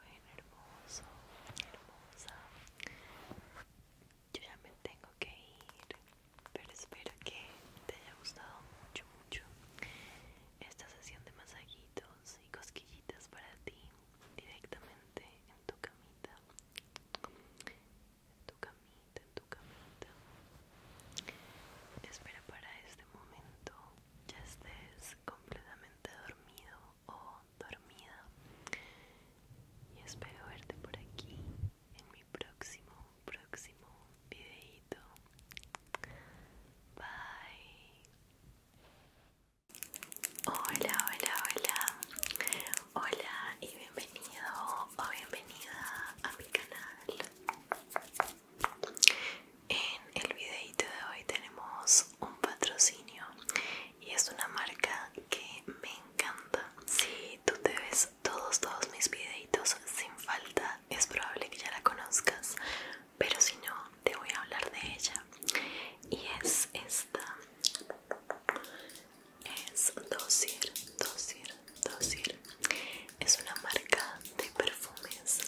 S1: Bueno, hermoso, hermosa. Yo ya me tengo que ir, pero espero que te haya gustado mucho, mucho esta sesión de masajitos y cosquillitas para ti directamente en tu camita. En tu camita, en tu camita. Espera para este momento ya estés completamente dormido o dormida y espero verte por aquí en mi próximo próximo videito bye hola hola hola hola y bienvenido o bienvenida a mi canal en el videito de hoy tenemos un patrocinio y es una marca que me encanta. Si tú te ves todos, todos mis videitos sin falta, es probable que ya la conozcas, pero si no, te voy a hablar de ella. Y es esta. Es Dosir, Dosir, Dosir. Es una marca de perfumes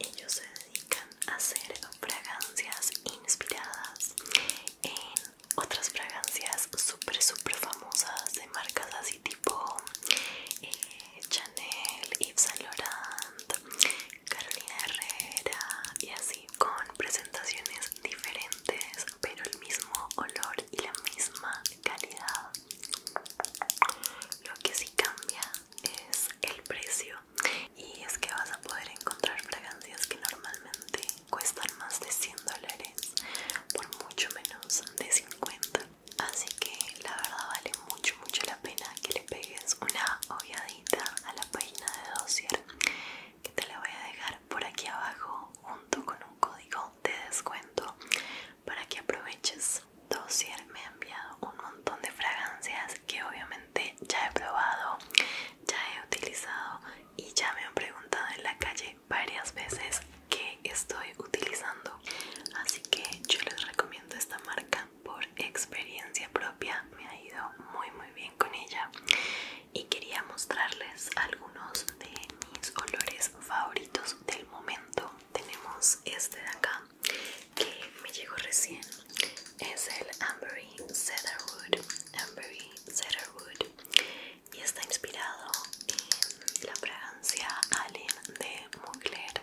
S1: y ellos se dedican a hacer fragancias inspiradas en otras fragancias súper súper famosas de marcas así tipo eh, Chanel, Yves Saint Laurent, Carolina Herrera y así con presentaciones diferentes pero el mismo olor y la misma calidad. Lo que sí cambia es el precio y es que vas a poder encontrar fragancias que normalmente cuestan más de 100 dólares por mucho menos de 50 así que la verdad vale mucho mucho la pena que le pegues una ojeadita a la página de dossier que te la voy a dejar por aquí abajo junto con un código de descuento para que aproveches Dossier me ha enviado un montón de fragancias que obviamente ya he probado, ya he utilizado y ya me han preguntado en la calle varias veces qué estoy utilizando. Así que yo les recomiendo esta marca por experiencia propia, me ha ido muy muy bien con ella y quería mostrarles algunos de mis olores favoritos del momento. Tenemos este de acá que me llegó recién es el Ambery Cedarwood Ambery Cedarwood y está inspirado en la fragancia Alien de Mugler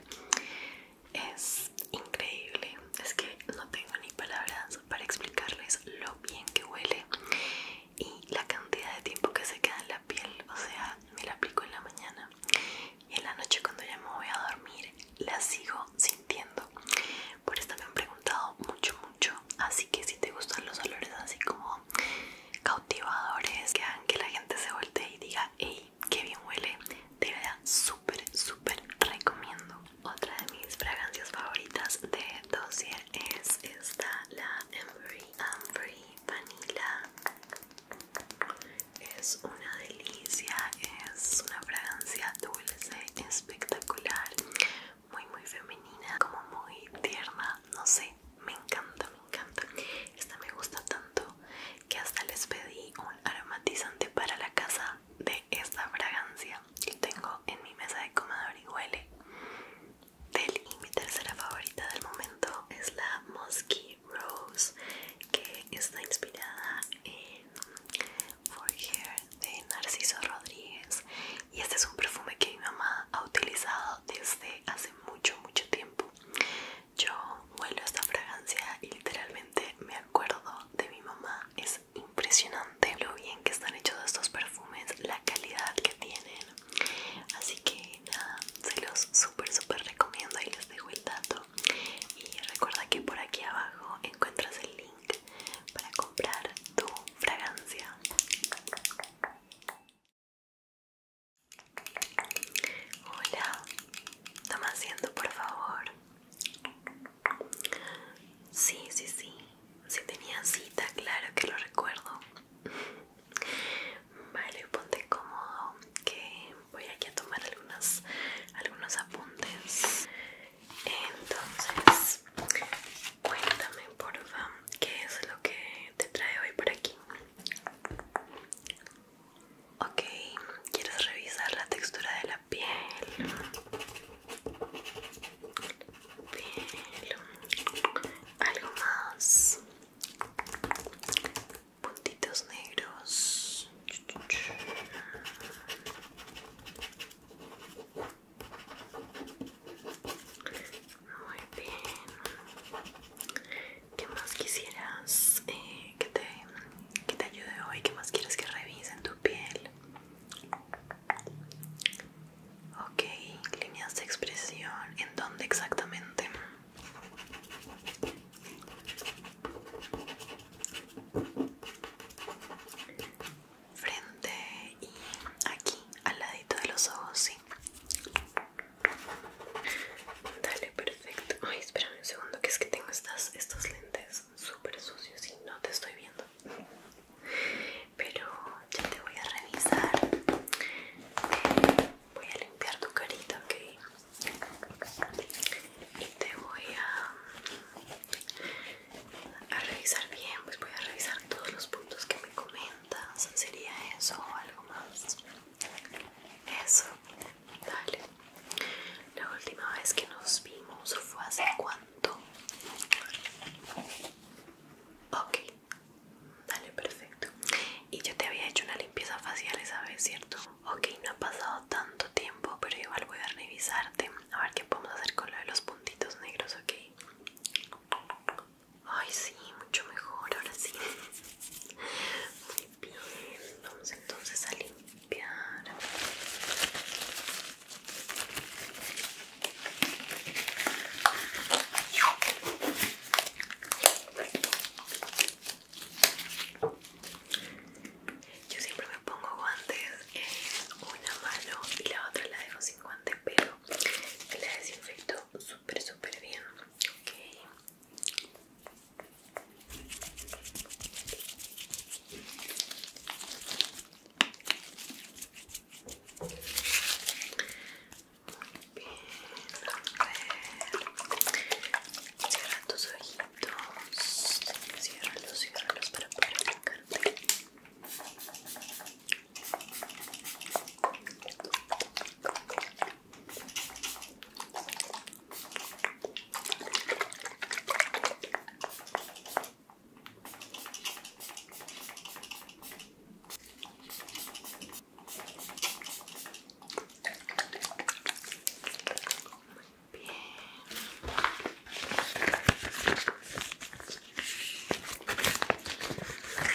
S1: es increíble es que no tengo ni palabras para explicarles lo bien que huele y la cantidad de tiempo que se queda en
S2: la piel o sea me la aplico en la mañana y en la noche
S1: cuando ya me voy a dormir la sigo sintiendo. Por esto me han preguntado mucho, mucho. Así que si te gustan los olores así como cautivadores, que hagan que la gente se voltee y diga, ¡Ey! qué bien huele, Te la súper, súper recomiendo. Otra de mis fragancias favoritas de Dossier es esta, la Ambery Vanilla es una delicia, es una fragancia dulce, espectacular, muy muy femenina, como muy tierna, no sé, me encanta, me encanta. Esta me gusta tanto que hasta les pedí un aromatizante para la casa de esta fragancia. que tengo en mi mesa de comedor y huele. y mi tercera favorita del momento es la Musky Rose, que está inspirada en For Hair de Narciso Rodríguez y este es un perfume que mi mamá ha utilizado desde hace mucho mucho tiempo yo huelo esta fragancia y literalmente me acuerdo de mi mamá es impresionante lo bien que están hechos estos perfumes la calidad que tienen así que nada se los súper, súper recomiendo y les dejo el dato y recuerda que por aquí abajo encuentras el link para comprar
S2: tu fragancia hola toma asiento por favor
S1: sí sí sí si sí tenía cita claro que lo recuerdo vale ponte cómodo que voy aquí a tomar algunos apuntes. Entonces, cuéntame porfa, ¿qué es lo que te trae hoy por aquí?
S2: Ok, ¿quieres revisar la textura de la piel? Piel, algo más
S1: puntitos negros muy bien. ¿Qué más quisieras eh, que, te, que te ayude hoy? ¿Qué más quieres que revise en tu piel? Ok, líneas de expresión. ¿En dónde exactamente? frente y aquí al ladito de los ojos, sí. Dale, perfecto. Ay, espérame un segundo, que es que tengo estas, estos lentes súper sucios y no te estoy viendo. Pero ya te voy a revisar. Eh, voy a limpiar tu carita, ok y te voy a, revisar bien, pues voy a revisar todos los puntos que me comentas, sería eso o algo más. Eso, dale. La última vez que nos vimos fue hace cuánto? Ok, dale, perfecto. Y yo te había hecho una limpieza facial esa vez, ¿cierto? Ok, no ha pasado tanto tiempo, pero igual voy a revisarte. A ver qué podemos hacer con lo de los puntitos negros, ok. Ay, sí, mucho mejor, ahora sí. Muy bien, vamos entonces a limpiar. Yo siempre me pongo guantes en eh, una mano y la otra la dejo sin guante, pero la desinfecto súper, súper bien. ¿ok? Muy bien, a ver ojitos. Ciérralos, ciérralos para poder aplicarte. Muy Bien.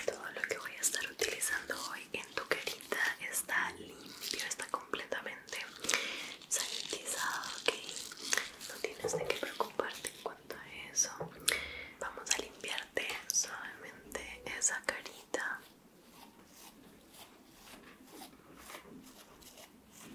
S1: Todo lo que voy a estar utilizando hoy en tu carita está limpio, está completamente sanitizado, ¿ok? No tienes de qué preocuparte en cuanto a eso. Vamos a limpiarte suavemente esa carita.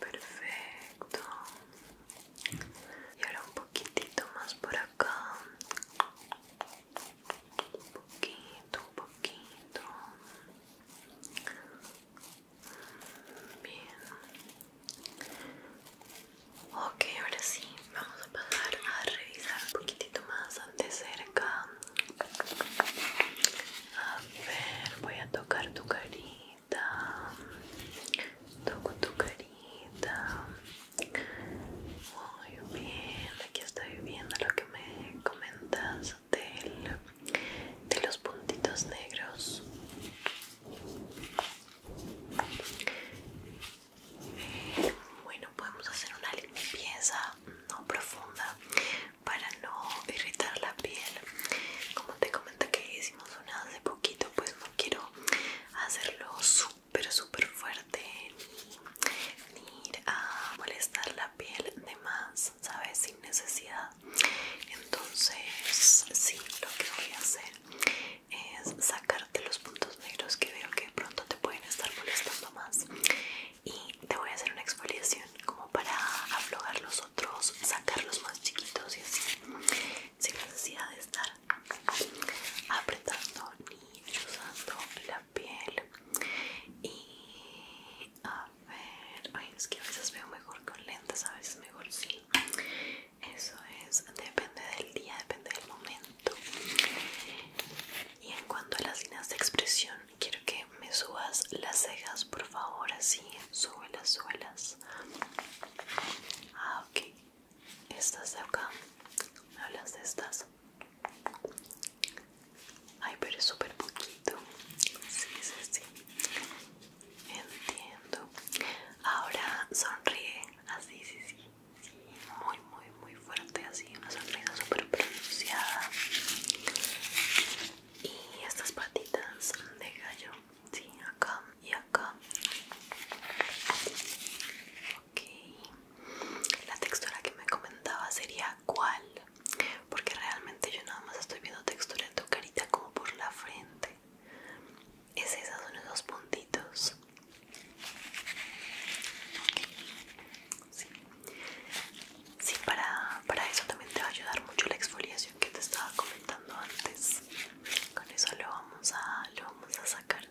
S1: Perfecto. Y ahora un poquitito más por acá. Un poquito, un poquito. Bien. Ok, ahora sí, vamos a pasar a revisar un poquitito más de cerca. A ver, voy a tocar tu cariño toco tu carita. Muy bien, aquí estoy viendo lo que me comentas de los puntitos negros. Eh, bueno, podemos hacer una limpieza no profunda para no irritar la piel. Como te comenté que es hace poquito pues no quiero hacerlo súper súper fuerte ni, ir a molestar la piel de más sabes sin necesidad entonces sí lo que voy a hacer es sacarte los puntos negros que veo que pronto te pueden estar molestando más y te voy a hacer una exfoliación como para aflojar los sacarlos más chiquitos y así sin necesidad de estar apretando ni usando la piel y a ver ay es que a veces veo mejor con lentes a veces mejor sí eso es depende del día depende del momento y en cuanto a las líneas de expresión quiero que me subas las cejas por favor así sube las suelas Ah, ok. Estas de acá. ¿Me hablas de estas? Ay, pero es súper poquito. Sí, sí, sí. Entiendo. Ahora sonríe. Así, ah, sí, sí. Sí, muy, muy, muy fuerte. Así, una sonrisa súper pronunciada. Y estas patitas de gallo sí, acá y acá ok la textura que me comentaba sería cuál porque realmente yo nada más estoy viendo textura en tu carita como por la frente es esa, son esos puntitos sí. sí, para, para eso también te va a ayudar mucho la exfoliación que te estaba comentando antes con eso lo vamos a lo vamos a sacar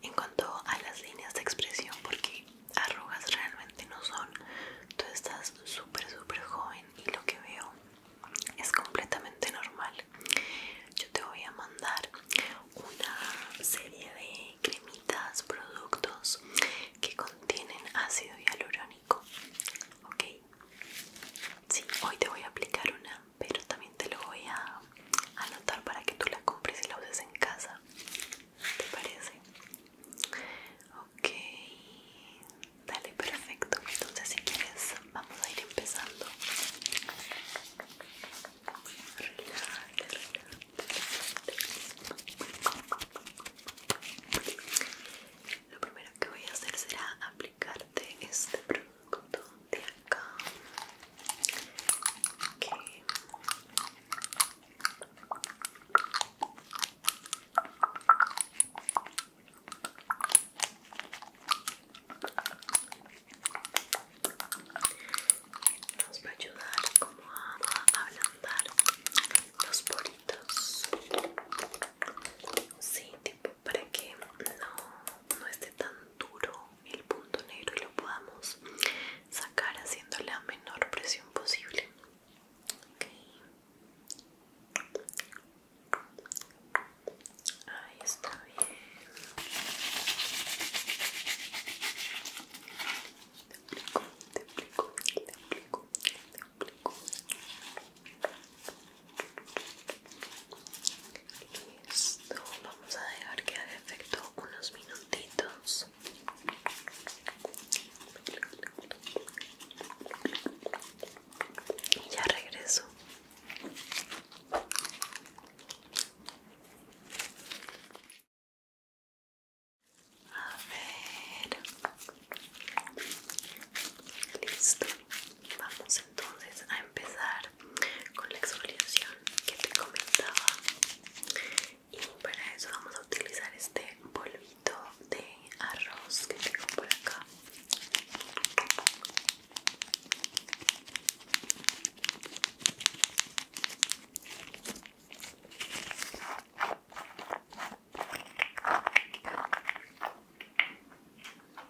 S1: en cuanto a las líneas de expresión porque arrugas realmente no son tú estás súper súper joven y lo que veo es completamente normal yo te voy a mandar una serie de cremitas productos que contienen ácido hialurónico ok Sí, hoy te voy a aplicar una, pero también te lo voy a anotar para que tú la compres y la uses en casa. ¿Te parece? Ok, dale, perfecto. Entonces, si quieres, vamos a ir empezando lo primero que voy a hacer será aplicarte este producto de acá que nos
S2: va a ayudar como a ablandar los poritos Sí, tipo para que no, esté tan duro el punto negro y lo podamos sacar haciendo
S1: la menor presión posible. Okay. Ahí está bien.
S2: te aplico, te aplico, te aplico, Listo, vamos a dejar que haga efecto unos
S1: minutitos.
S2: Y ya regreso. A ver. Listo.
S1: Vamos entonces a empezar con la exfoliación que te comentaba y para eso vamos a utilizar este polvito de arroz que tengo por acá.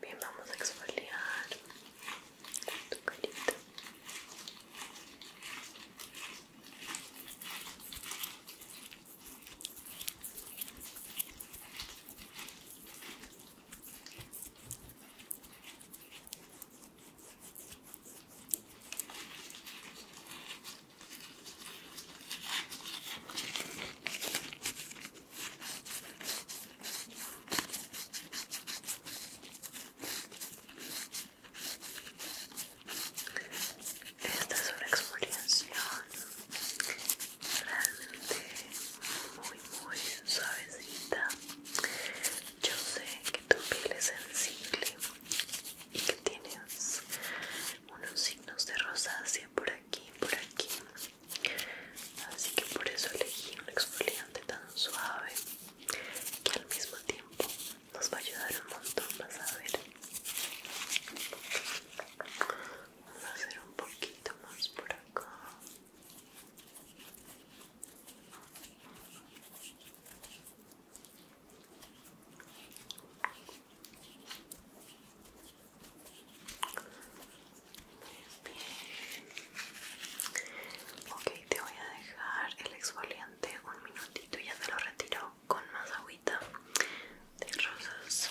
S1: Bien, vamos a exfoliar tu carita.
S2: Esta es una exfoliación realmente
S1: muy muy suavecita yo sé que tu piel es sensible y que tienes unos signos de rosácea por aquí y por aquí así que por eso elegí un exfoliante tan suave que al
S2: mismo tiempo nos va a ayudar un montón más a ver Vamos a hacer un poquito más por acá Ok, te voy a dejar el exfoliante un minutito y ya te lo retiro con más agüita de rosas.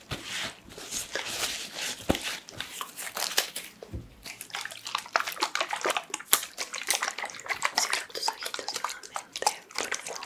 S2: Cierra tus ojitos nuevamente, por favor.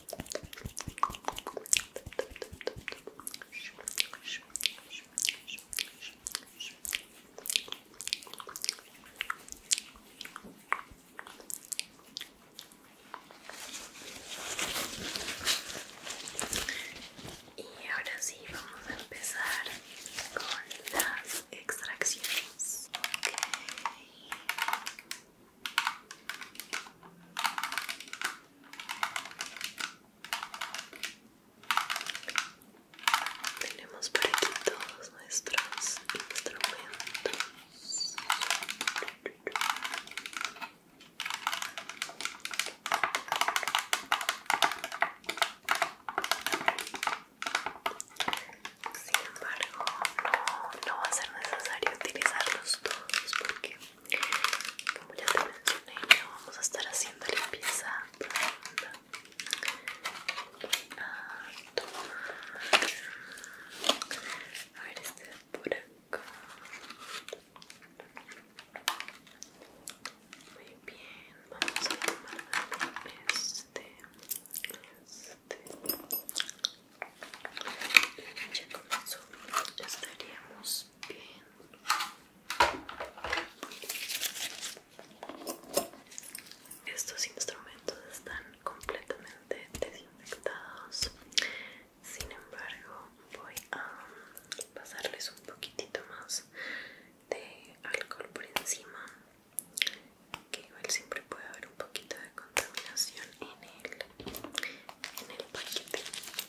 S1: Y ahora sí, vamos a empezar con las extracciones. Tenemos por aquí todos nuestros instrumentos. Sin embargo, no, no va a ser necesario utilizarlos todos porque como ya te mencioné, vamos a estar haciendo limpieza profunda. A, a ver, este de por acá. Muy bien, vamos a tomar este, este. Ya con eso estaríamos estos instrumentos están completamente desinfectados sin embargo voy a pasarles un poquitito más de alcohol por encima que igual siempre puede haber un poquito de contaminación en el, en el paquete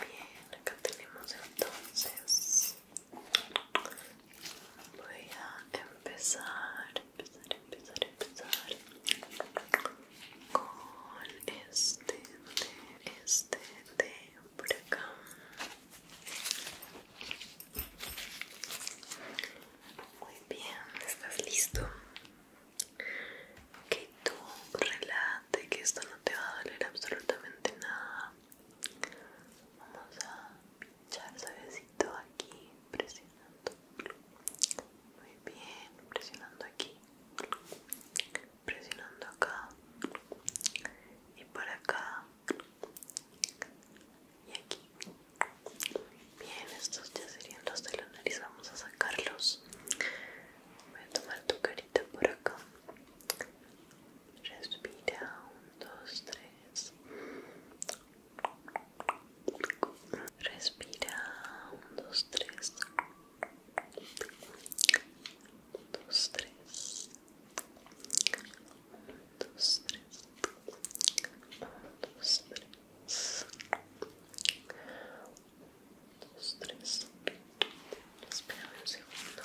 S2: Bien, acá tenemos entonces. Voy a empezar,
S1: empezar, empezar,
S2: empezar con este este, este por acá. Muy bien, ¿estás listo? que tú relate, que esto no te va a doler absolutamente nada. Vamos a pinchar suavecito aquí, presionando. Muy bien, presionando aquí,
S1: presionando acá y por acá y aquí. Bien, estos ya serían los de la nariz. Vamos a sacarlos. Voy a tomar tu carita por acá. Respira. Un, dos, tres. Respira. Un, dos, tres. Un, dos, tres. Un, dos, tres. Un, dos, tres dos, tres. Espera un segundo.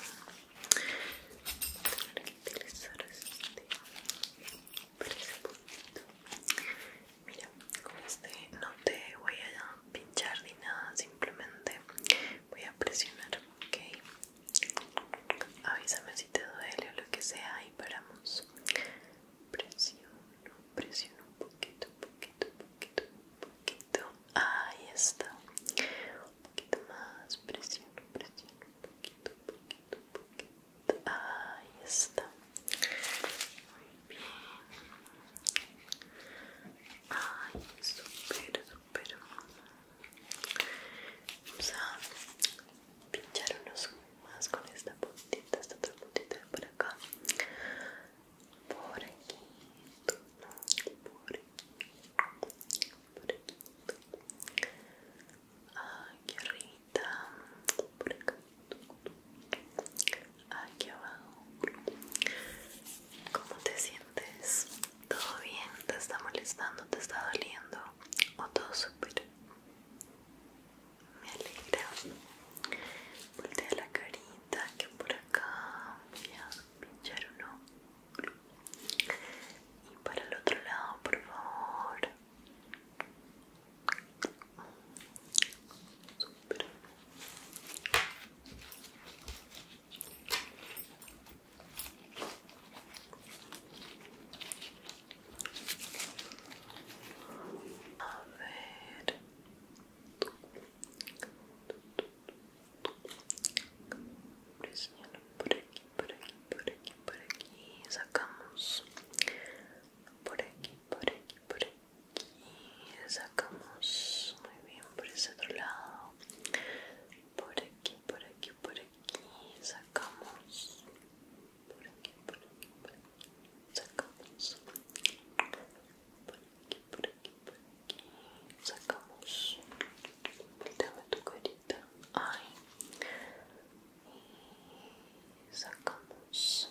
S1: Voy este Mira, como este no te voy a pinchar ni nada, simplemente voy a presionar, ok. Avísame si te duele o lo que sea y paramos
S2: presiono, presiono un poquito, un poquito, un
S1: poquito, un poquito. Ahí está. Un poquito más, presiono, presiono, un poquito, un poquito,
S2: un poquito. Ahí está. Muy bien. Ay,
S1: súper, súper. Vamos a pinchar unos más con esta puntita, esta otra puntita por acá, por aquí, por aquí, por aquí, aquí arriba, por acá, aquí abajo. ¿Cómo te sientes? ¿Todo bien? ¿Te está molestando? ¿Te está doliendo? ¿O todo súper? me alegra. Voltea la carita que por acá voy a pinchar uno. Y para el otro lado, por favor. A ver. por aquí, por aquí, por aquí, por aquí. Sacamos. Por aquí, por aquí, por aquí. Sacamos. Muy bien, por ese otro lado. Por aquí, por
S2: aquí, por aquí. Sacamos. por aqui, por aqui, por aqui. Sacamos. Por aqui, por aqui, por aqui. Sacamos.
S1: Dela do corita. Ai. E sacamos.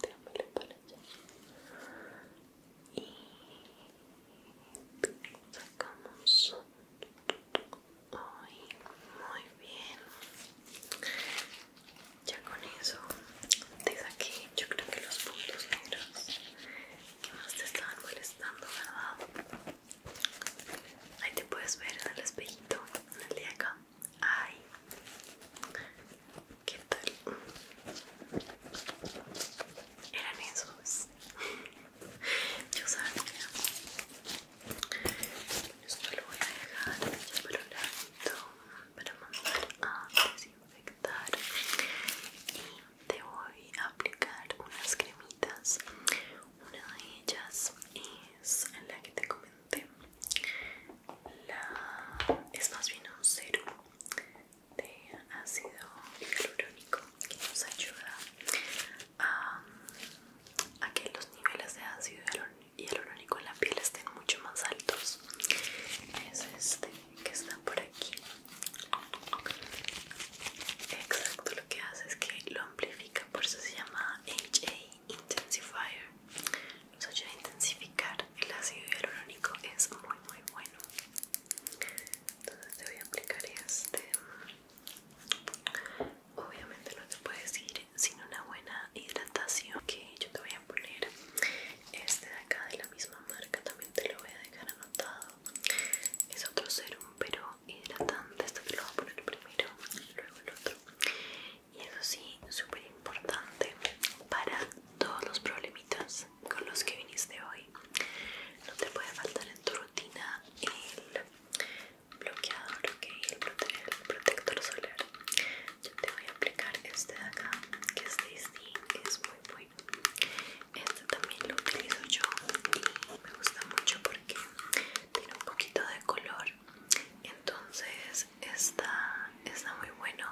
S1: Pegamos ele para e sacamos Oi, muy bien Ya con eso te saqué, yo creo que los puntos negros que más te estaban molestando, ¿verdad? Ahí te puedes ver en el espejito, en el de acá. Ay, ¿qué tal? Eran esos. Yo sabía. Esto lo voy a dejar ya por un para mandar a desinfectar y te voy a aplicar unas cremitas una de ellas es la que te comenté es más bien un serum de ácido hialurónico que nos ayuda a, a que los niveles de ácido hialurónico y hialurónico en la piel estén mucho más altos. Es este que está por aquí. Exacto, lo que hace es que lo amplifica, por eso se llama HA Intensifier. Nos ayuda a intensificar el ácido hialurónico, es muy muy bueno. Entonces te voy a aplicar este. Obviamente no te puedes ir sin una buena hidratación que yo te voy poner este de acá de la misma marca también te lo voy a dejar anotado es otro serum pero hidratante este te lo voy a poner primero y luego el otro y eso sí súper importante para todos los problemitas con los que viniste hoy no te puede faltar en tu rutina el bloqueador, ok, el protector solar te voy a aplicar este de acá que es de Disney, que es muy bueno este también lo utilizo yo y me gusta mucho porque tiene un poquito de color entonces está, está muy bueno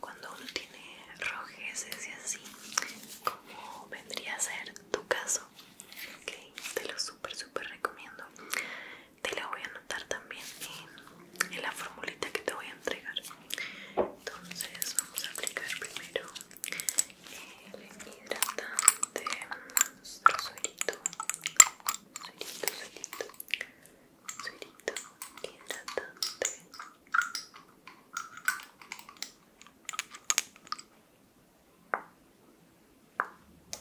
S1: cuando uno tiene rojeces y así como vendría a ser tu caso okay, te lo súper súper recomiendo te la voy a anotar también en, la formulita que te voy a entregar entonces vamos a aplicar primero el hidratante nuestro suerito suerito, suerito suerito, hidratante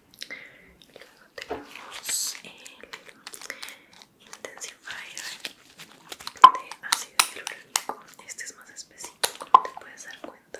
S1: luego tenemos el intensifier de ácido hialurónico este es más espesito como te puedes dar cuenta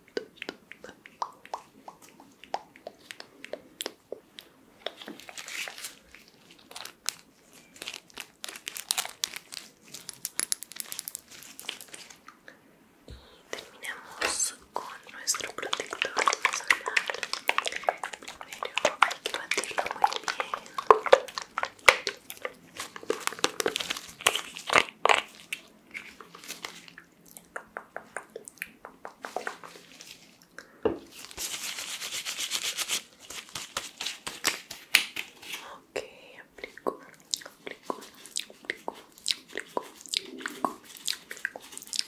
S1: Y terminamos
S2: con nuestro protector solar. Primero hay que batirlo muy bien. Okay,
S1: aplico, aplico, aplico, aplico, aplico, aplico, aplico,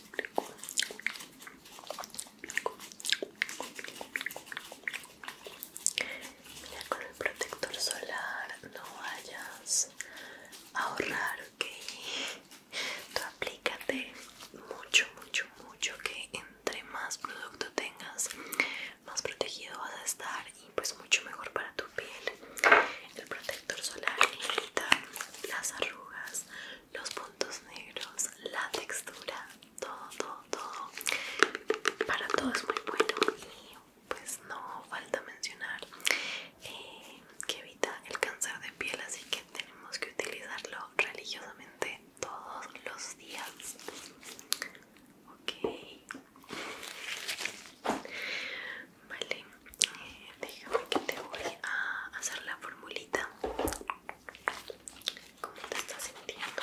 S1: Mira, con el protector solar no vayas ahorrar ok tú aplícate mucho mucho mucho que entre más producto tengas más protegido vas a estar y pues mucho mejor para tu piel el protector solar evita las arrugas los puntos negros la textura todo todo todo para todo es muy bueno pues no falta mencionar eh, que evita el cáncer de piel, así que tenemos que utilizarlo religiosamente todos los días. Ok, vale, eh, déjame que te voy a hacer la formulita. ¿Cómo te estás sintiendo?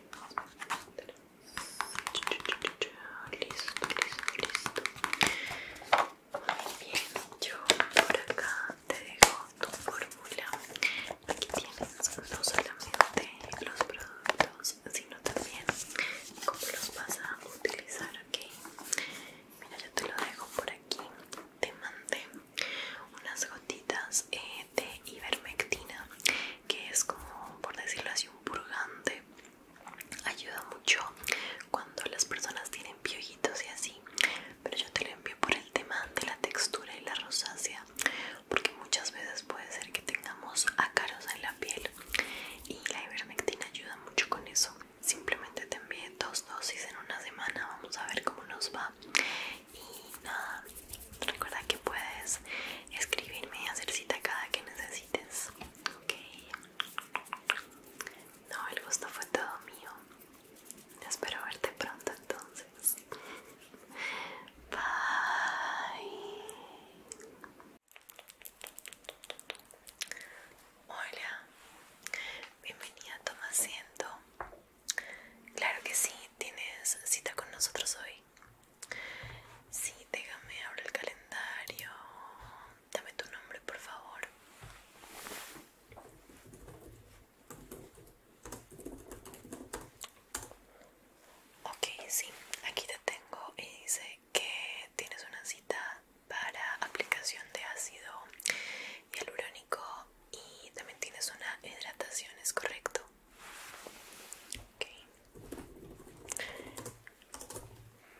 S1: Listo, listo, listo. bien, yo por acá te dejo tu fórmula. Aquí tienes no solamente los productos, sino también cómo los vas a utilizar, ¿ok? Mira, yo te lo dejo por aquí. Te mandé unas gotitas eh, de ivermectina que es como por decirlo así un purgante ayuda mucho cuando las personas tienen piollitos y así pero yo te lo envío por el tema de la textura y la rosácea porque muchas veces puede ser que tengamos ácaros en la piel y la ivermectina ayuda mucho con eso simplemente te envié dos dosis en una semana vamos a ver cómo nos va y nada, recuerda que puedes escribirme y hacer cita cada que necesites. Ok. No, el gusto fue todo mío. Espero verte pronto entonces. Bye. Hola. Bienvenida, toma asiento. Claro que sí, tienes cita con nosotros hoy. Sí, déjame abrir el calendario. Dame tu nombre, por favor. Ok, sí, aquí te tengo y dice que tienes una cita para aplicación de ácido hialurónico y también tienes una hidratación, ¿es correcto?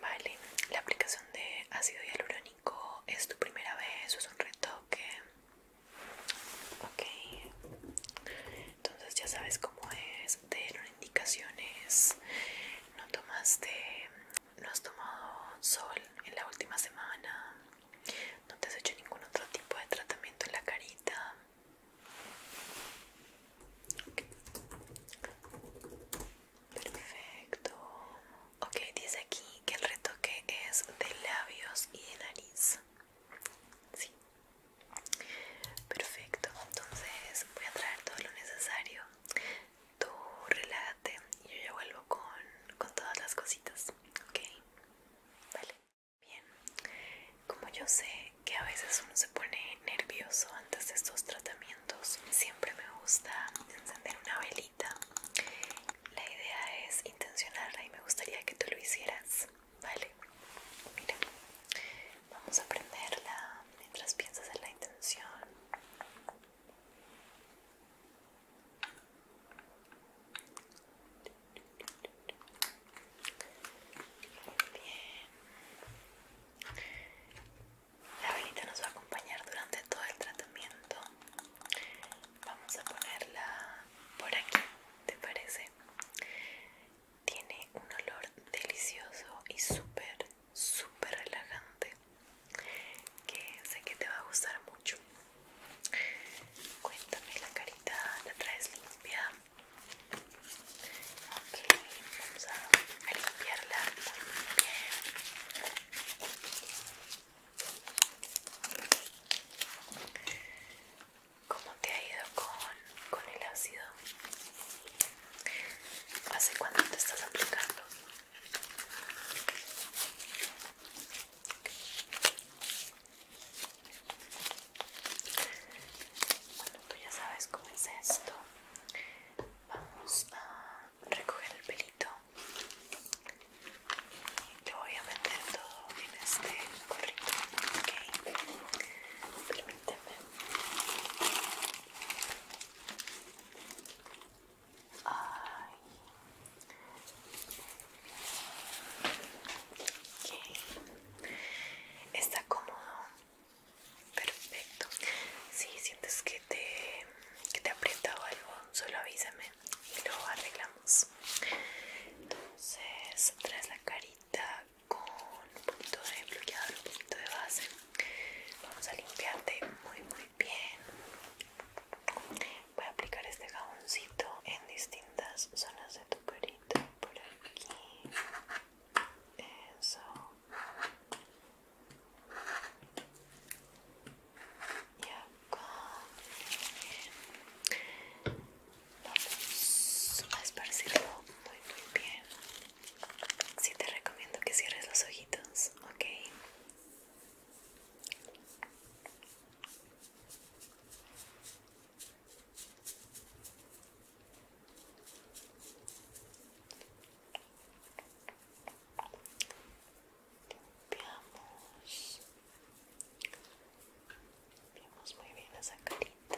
S1: Vale, la aplicación de ácido hialurónico es tu primera vez es un retoque. Ok, entonces ya sabes cómo es. Te dieron indicaciones. No tomaste, no has tomado sol en la última semana. No te has hecho ningún otro tipo de tratamiento en la carita. Perfecto. Ok, dice aquí que el retoque es de labios y de nariz. Sí. Perfecto. Entonces voy a traer todo lo necesario. Tú relájate y yo ya vuelvo con, con todas las cositas. Ok. Vale. Bien, como yo sé que a veces uno se pone nervioso antes de estos tratamientos, siempre me gusta encender una velita. La idea es intencionarla y me gustaría que tú lo hicieras, ¿vale? Mira, vamos a prenderla mientras piensas en la intención. Bien. La velita nos va a acompañar durante todo el tratamiento. Vamos a ponerla por aquí, ¿te parece? Tiene un olor delicioso y súper, súper relajante que sé que te va a gustar mucho. Cuéntame, la carita la traes limpia. Ok, vamos a limpiarla muy bien. ¿Cómo te ha ido con, el ácido? ¿Hace cuánto te estás aplicando? Bueno, tú ya sabes cómo es esto. Vamos a recoger el pelito. y Te voy a meter todo en este gorrito, ¿ok? Permíteme. Ay. Okay. Está cómodo. Perfecto. Si sientes que te, que te aprieta o algo, solo avísame y lo arreglamos. Entonces, traes la carita con un poquito de bloqueador, un poquito de base. Vamos a limpiarte muy, muy bien. Voy a aplicar este jaboncito en distintas zonas de tu carita por aquí.
S2: Eso. Y acá.
S1: Bien. Vamos a esparcirlo muy, muy bien. si te recomiendo que cierres los ojitos, ¿ok? Limpiamos. Limpiamos muy bien esa carita.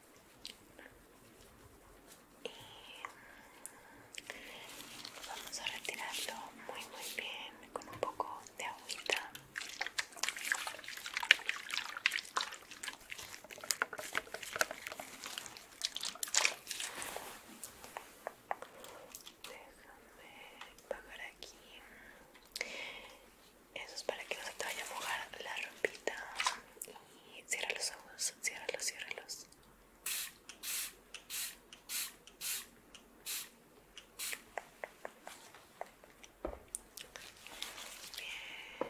S1: y vamos a retirarlo muy muy bien con un poco de agüita déjame pagar aquí eso es para que no se te vaya a mojar la ropita y cierra los ojos, cierra los Bien. Bien.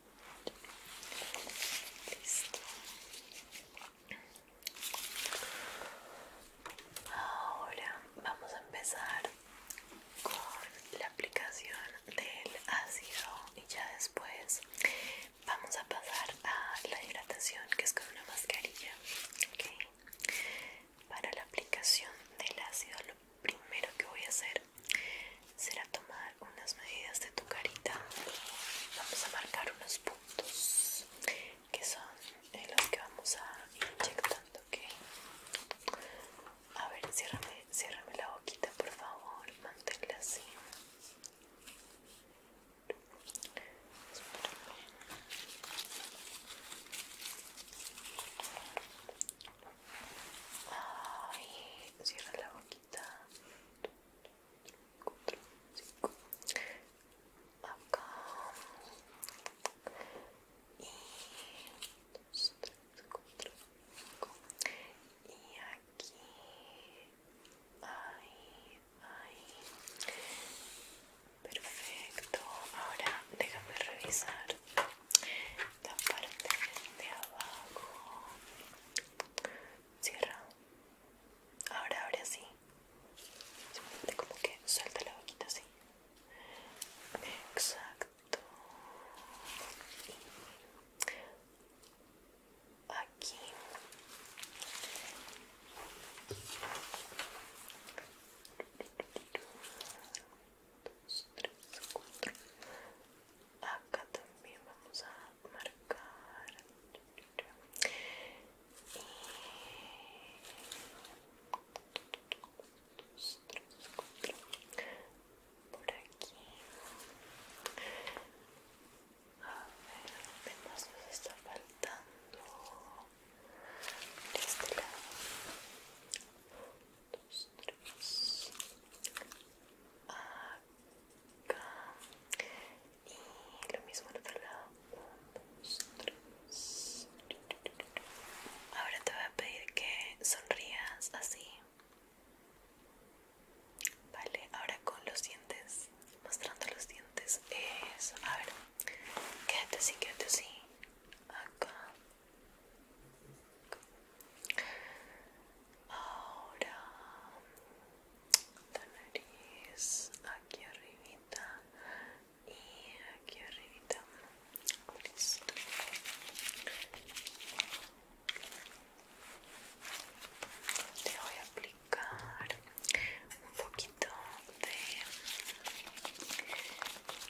S1: Listo. Ahora vamos a empezar con la aplicación del ácido y ya después vamos a pasar a la hidratación que es con una mascarilla. ¿okay? Para la aplicación del ácido lo primero que voy a hacer será tomar tomar unas medidas de tu carita vamos a marcar unos puntos que son los que vamos a ir inyectando, ¿ok? A ver, ciérrame, ciérrame la boquita, por favor, manténla así. Ay, cierra la boquita acá y y aquí ahí, ahí perfecto, ahora déjame revisar la parte de abajo cierra Ahora, ahora sí. Simplemente como que suelta la boquita así. Exacto. aquí. Dos, tres, cuatro. Acá también vamos a marcar por aquí a ver más nos está faltando de este lado y lo mismo al otro lado ahora te voy a pedir que sonrías así vale, ahora con los dientes mostrando los dientes eso, a ver quédate así, quédate así acá Ahora la nariz aquí arribita y aquí arribita listo te voy a aplicar un poquito de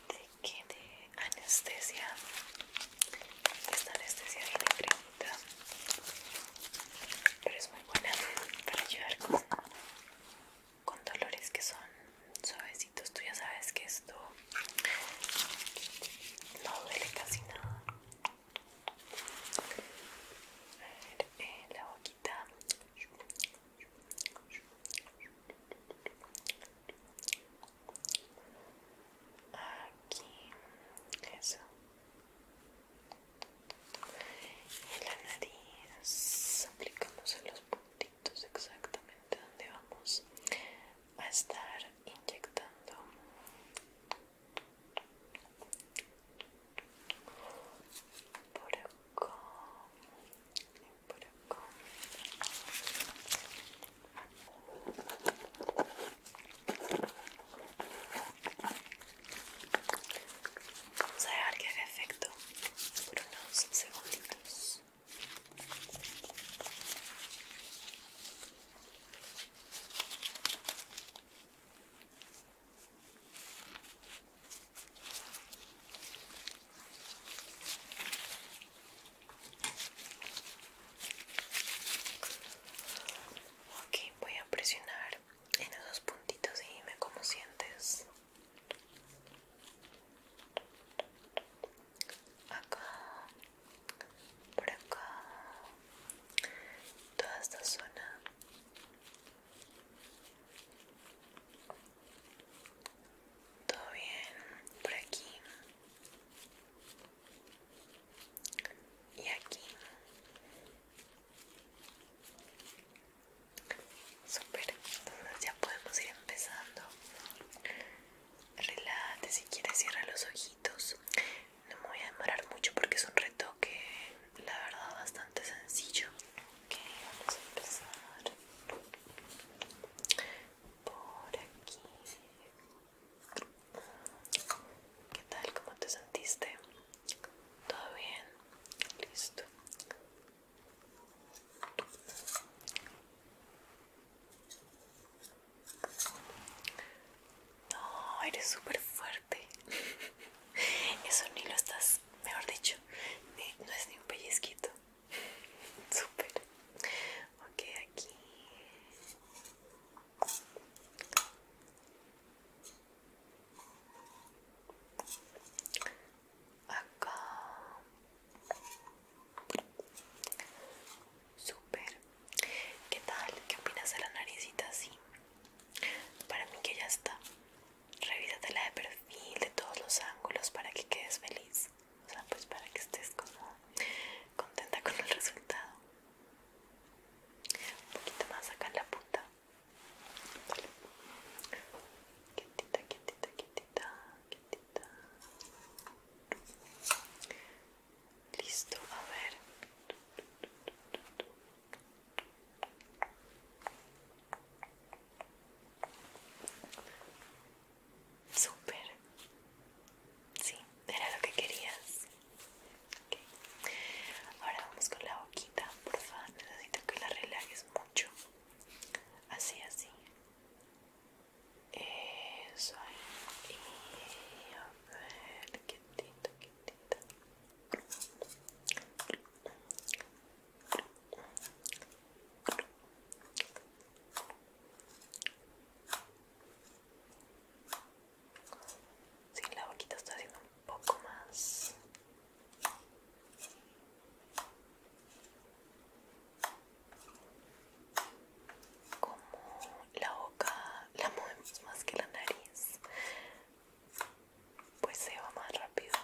S1: de, de anestesia esta anestesia viene pero es muy buena para llevar con, con dolores que son suavecitos tú ya sabes que esto no duele casi nada a ver, eh, la boquita aquí eso y la nariz aplicamos en los puntitos exactamente donde vamos a estar inyectando por acá por acá Vamos a dejar que haga efecto por unos segunditos. Ok, voy a presionar en esos puntitos y dime cómo sientes. Acá, por acá, toda esta zona. Todo bien, por aquí. Y aquí Super, ya podemos ir empezando. Relate, si quieres, cierra los ojitos. No me voy a demorar mucho porque es un retoque, la verdad, bastante sencillo. Ok, vamos a empezar por aquí. ¿Qué tal? ¿Cómo te sentiste? ¿Todo bien? Listo. No, eres súper fuerte. Eso ni lo estás, mejor dicho, no es ni un pellizquito. Súper. Ok, aquí acá super qué tal qué opinas de la naricita así para mí que ya está revísatela de perfil de todos los ángulos para que quedes feliz o sea pues para que estés como contenta con el resultado un poquito más acá en la punta Quietita, quietita, quietita, quietita. Listo, a ver. Súper. Sí, era lo que querías. Ahora vamos con la boquita, por favor. Necesito que la relajes mucho. Así, así. Eso ahí. a ver, quietito, quietito. Sí, la boquita está haciendo poco más como la boca la movemos más que la nariz pues se va más rápido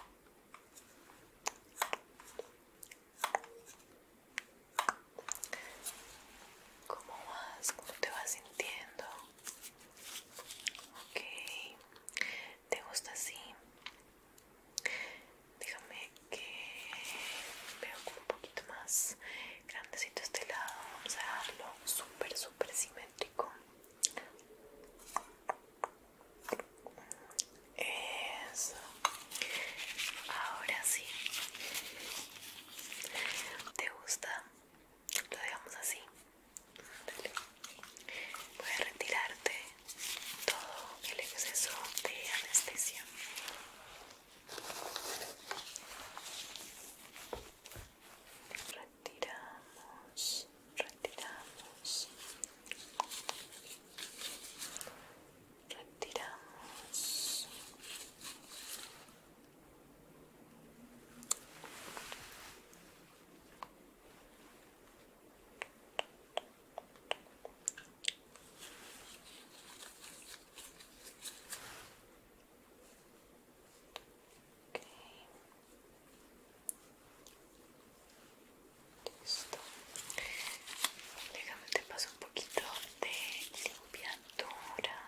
S1: ¿Cómo vas? ¿Cómo te vas sintiendo? Ok, ¿te gusta así? Déjame que veo como un poquito más grandecito este lado. Vamos a darlo súper, súper simétrico. Eso. Ahora sí. ¿Te gusta? lo dejamos así Dale. voy a retirarte todo el exceso de anestesia retiramos retiramos retiramos Listo. Déjame te paso un poquito de limpiadura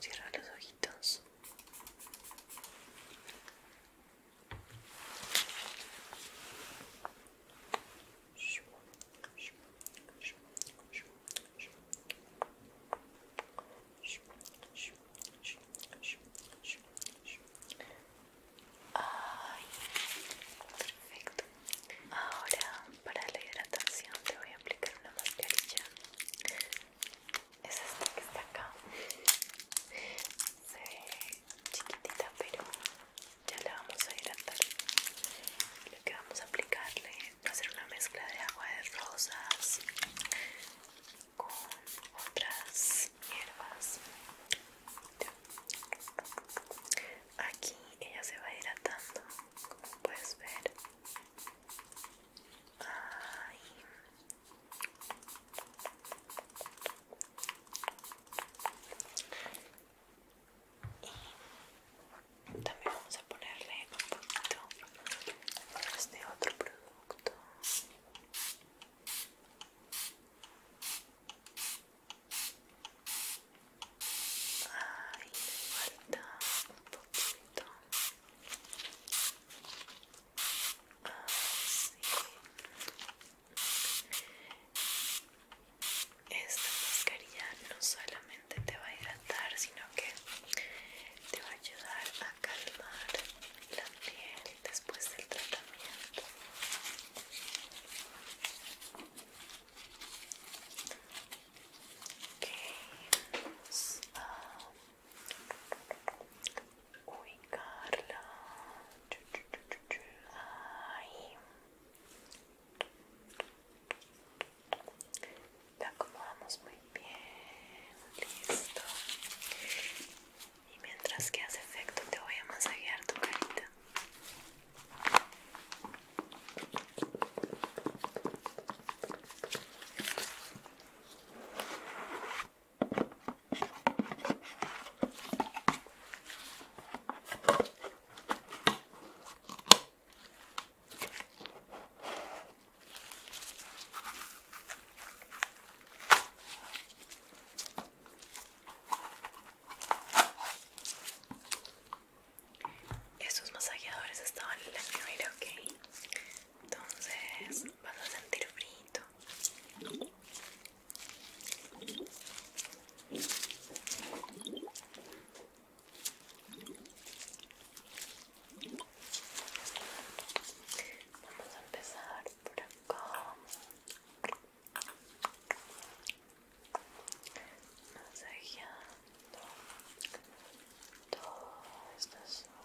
S1: Cierra los
S2: ojitos perfecto. Ahora para la hidratación te voy a aplicar una
S1: mascarilla. Es esta que está acá. Se ve chiquitita, pero ya la vamos a hidratar. Lo que vamos a aplicarle va a ser una mezcla de agua de rosas con otras hierbas aquí ella se va hidratando como puedes ver y también vamos a ponerle un poquito de este otro producto
S2: Ay, falta un poquito.
S1: Esta mascarilla no solamente te va a hidratar, sino que te va a ayudar a calmar la piel después del tratamiento. Okay. Vamos a ubicarla ahí la acomodamos muy bien listo y mientras que hace efecto te voy a masajear tu carita. Estos masajeadores estaban en la nevera, ¿ok? Entonces vas a sentir frito. Vamos a empezar por acá masajeando todo esta zona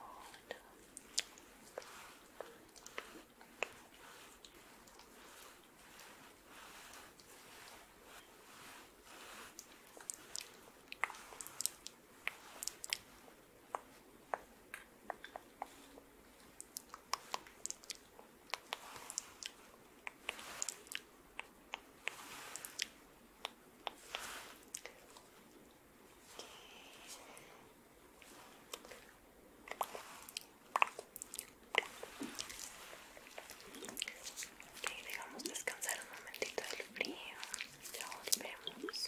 S1: Okay, dejamos descansar un momentito del frío. Ya volvemos.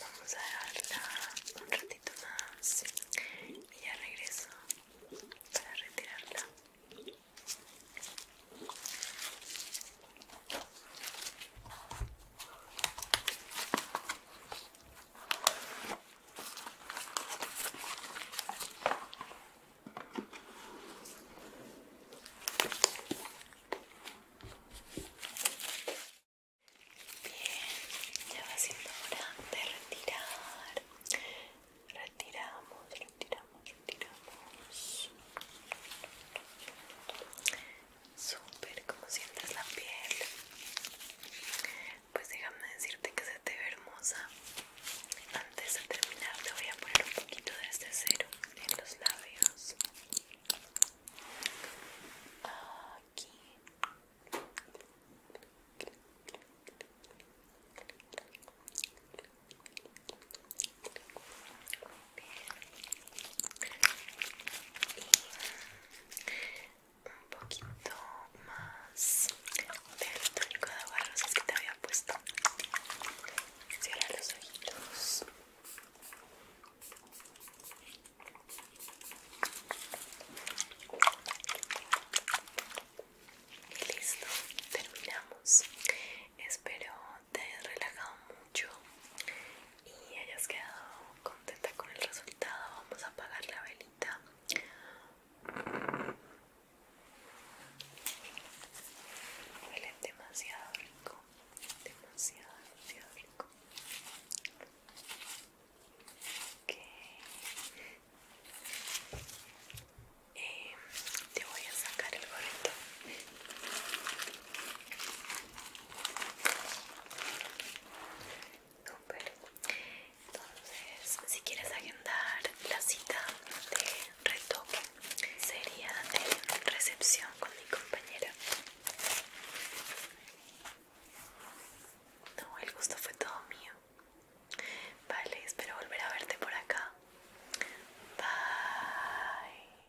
S2: vamos a dejarla un ratito más y ya regreso para retirarla.
S1: Bien, ya va siendo hora de retirar. Retiramos, retiramos, retiramos. Súper, como sientes la piel. Pues déjame decirte que se te ve hermosa. Antes de terminar te voy a poner un poquito de este cero en los labios. Aquí
S2: bien un poquito más del túnico de aguarrosas que te había puesto cierra los ojitos
S1: y listo, terminamos. Espero te hayas relajado mucho y hayas quedado contenta con el resultado vamos a apagar la velita huele demasiado rico demasiado demasiado rico em, te voy a sacar el gorrito entonces, si quieres agendar la cita de retoque, sería en recepción con mi compañera.
S2: No, el gusto fue todo mío. Vale, espero volver a verte por acá. Bye.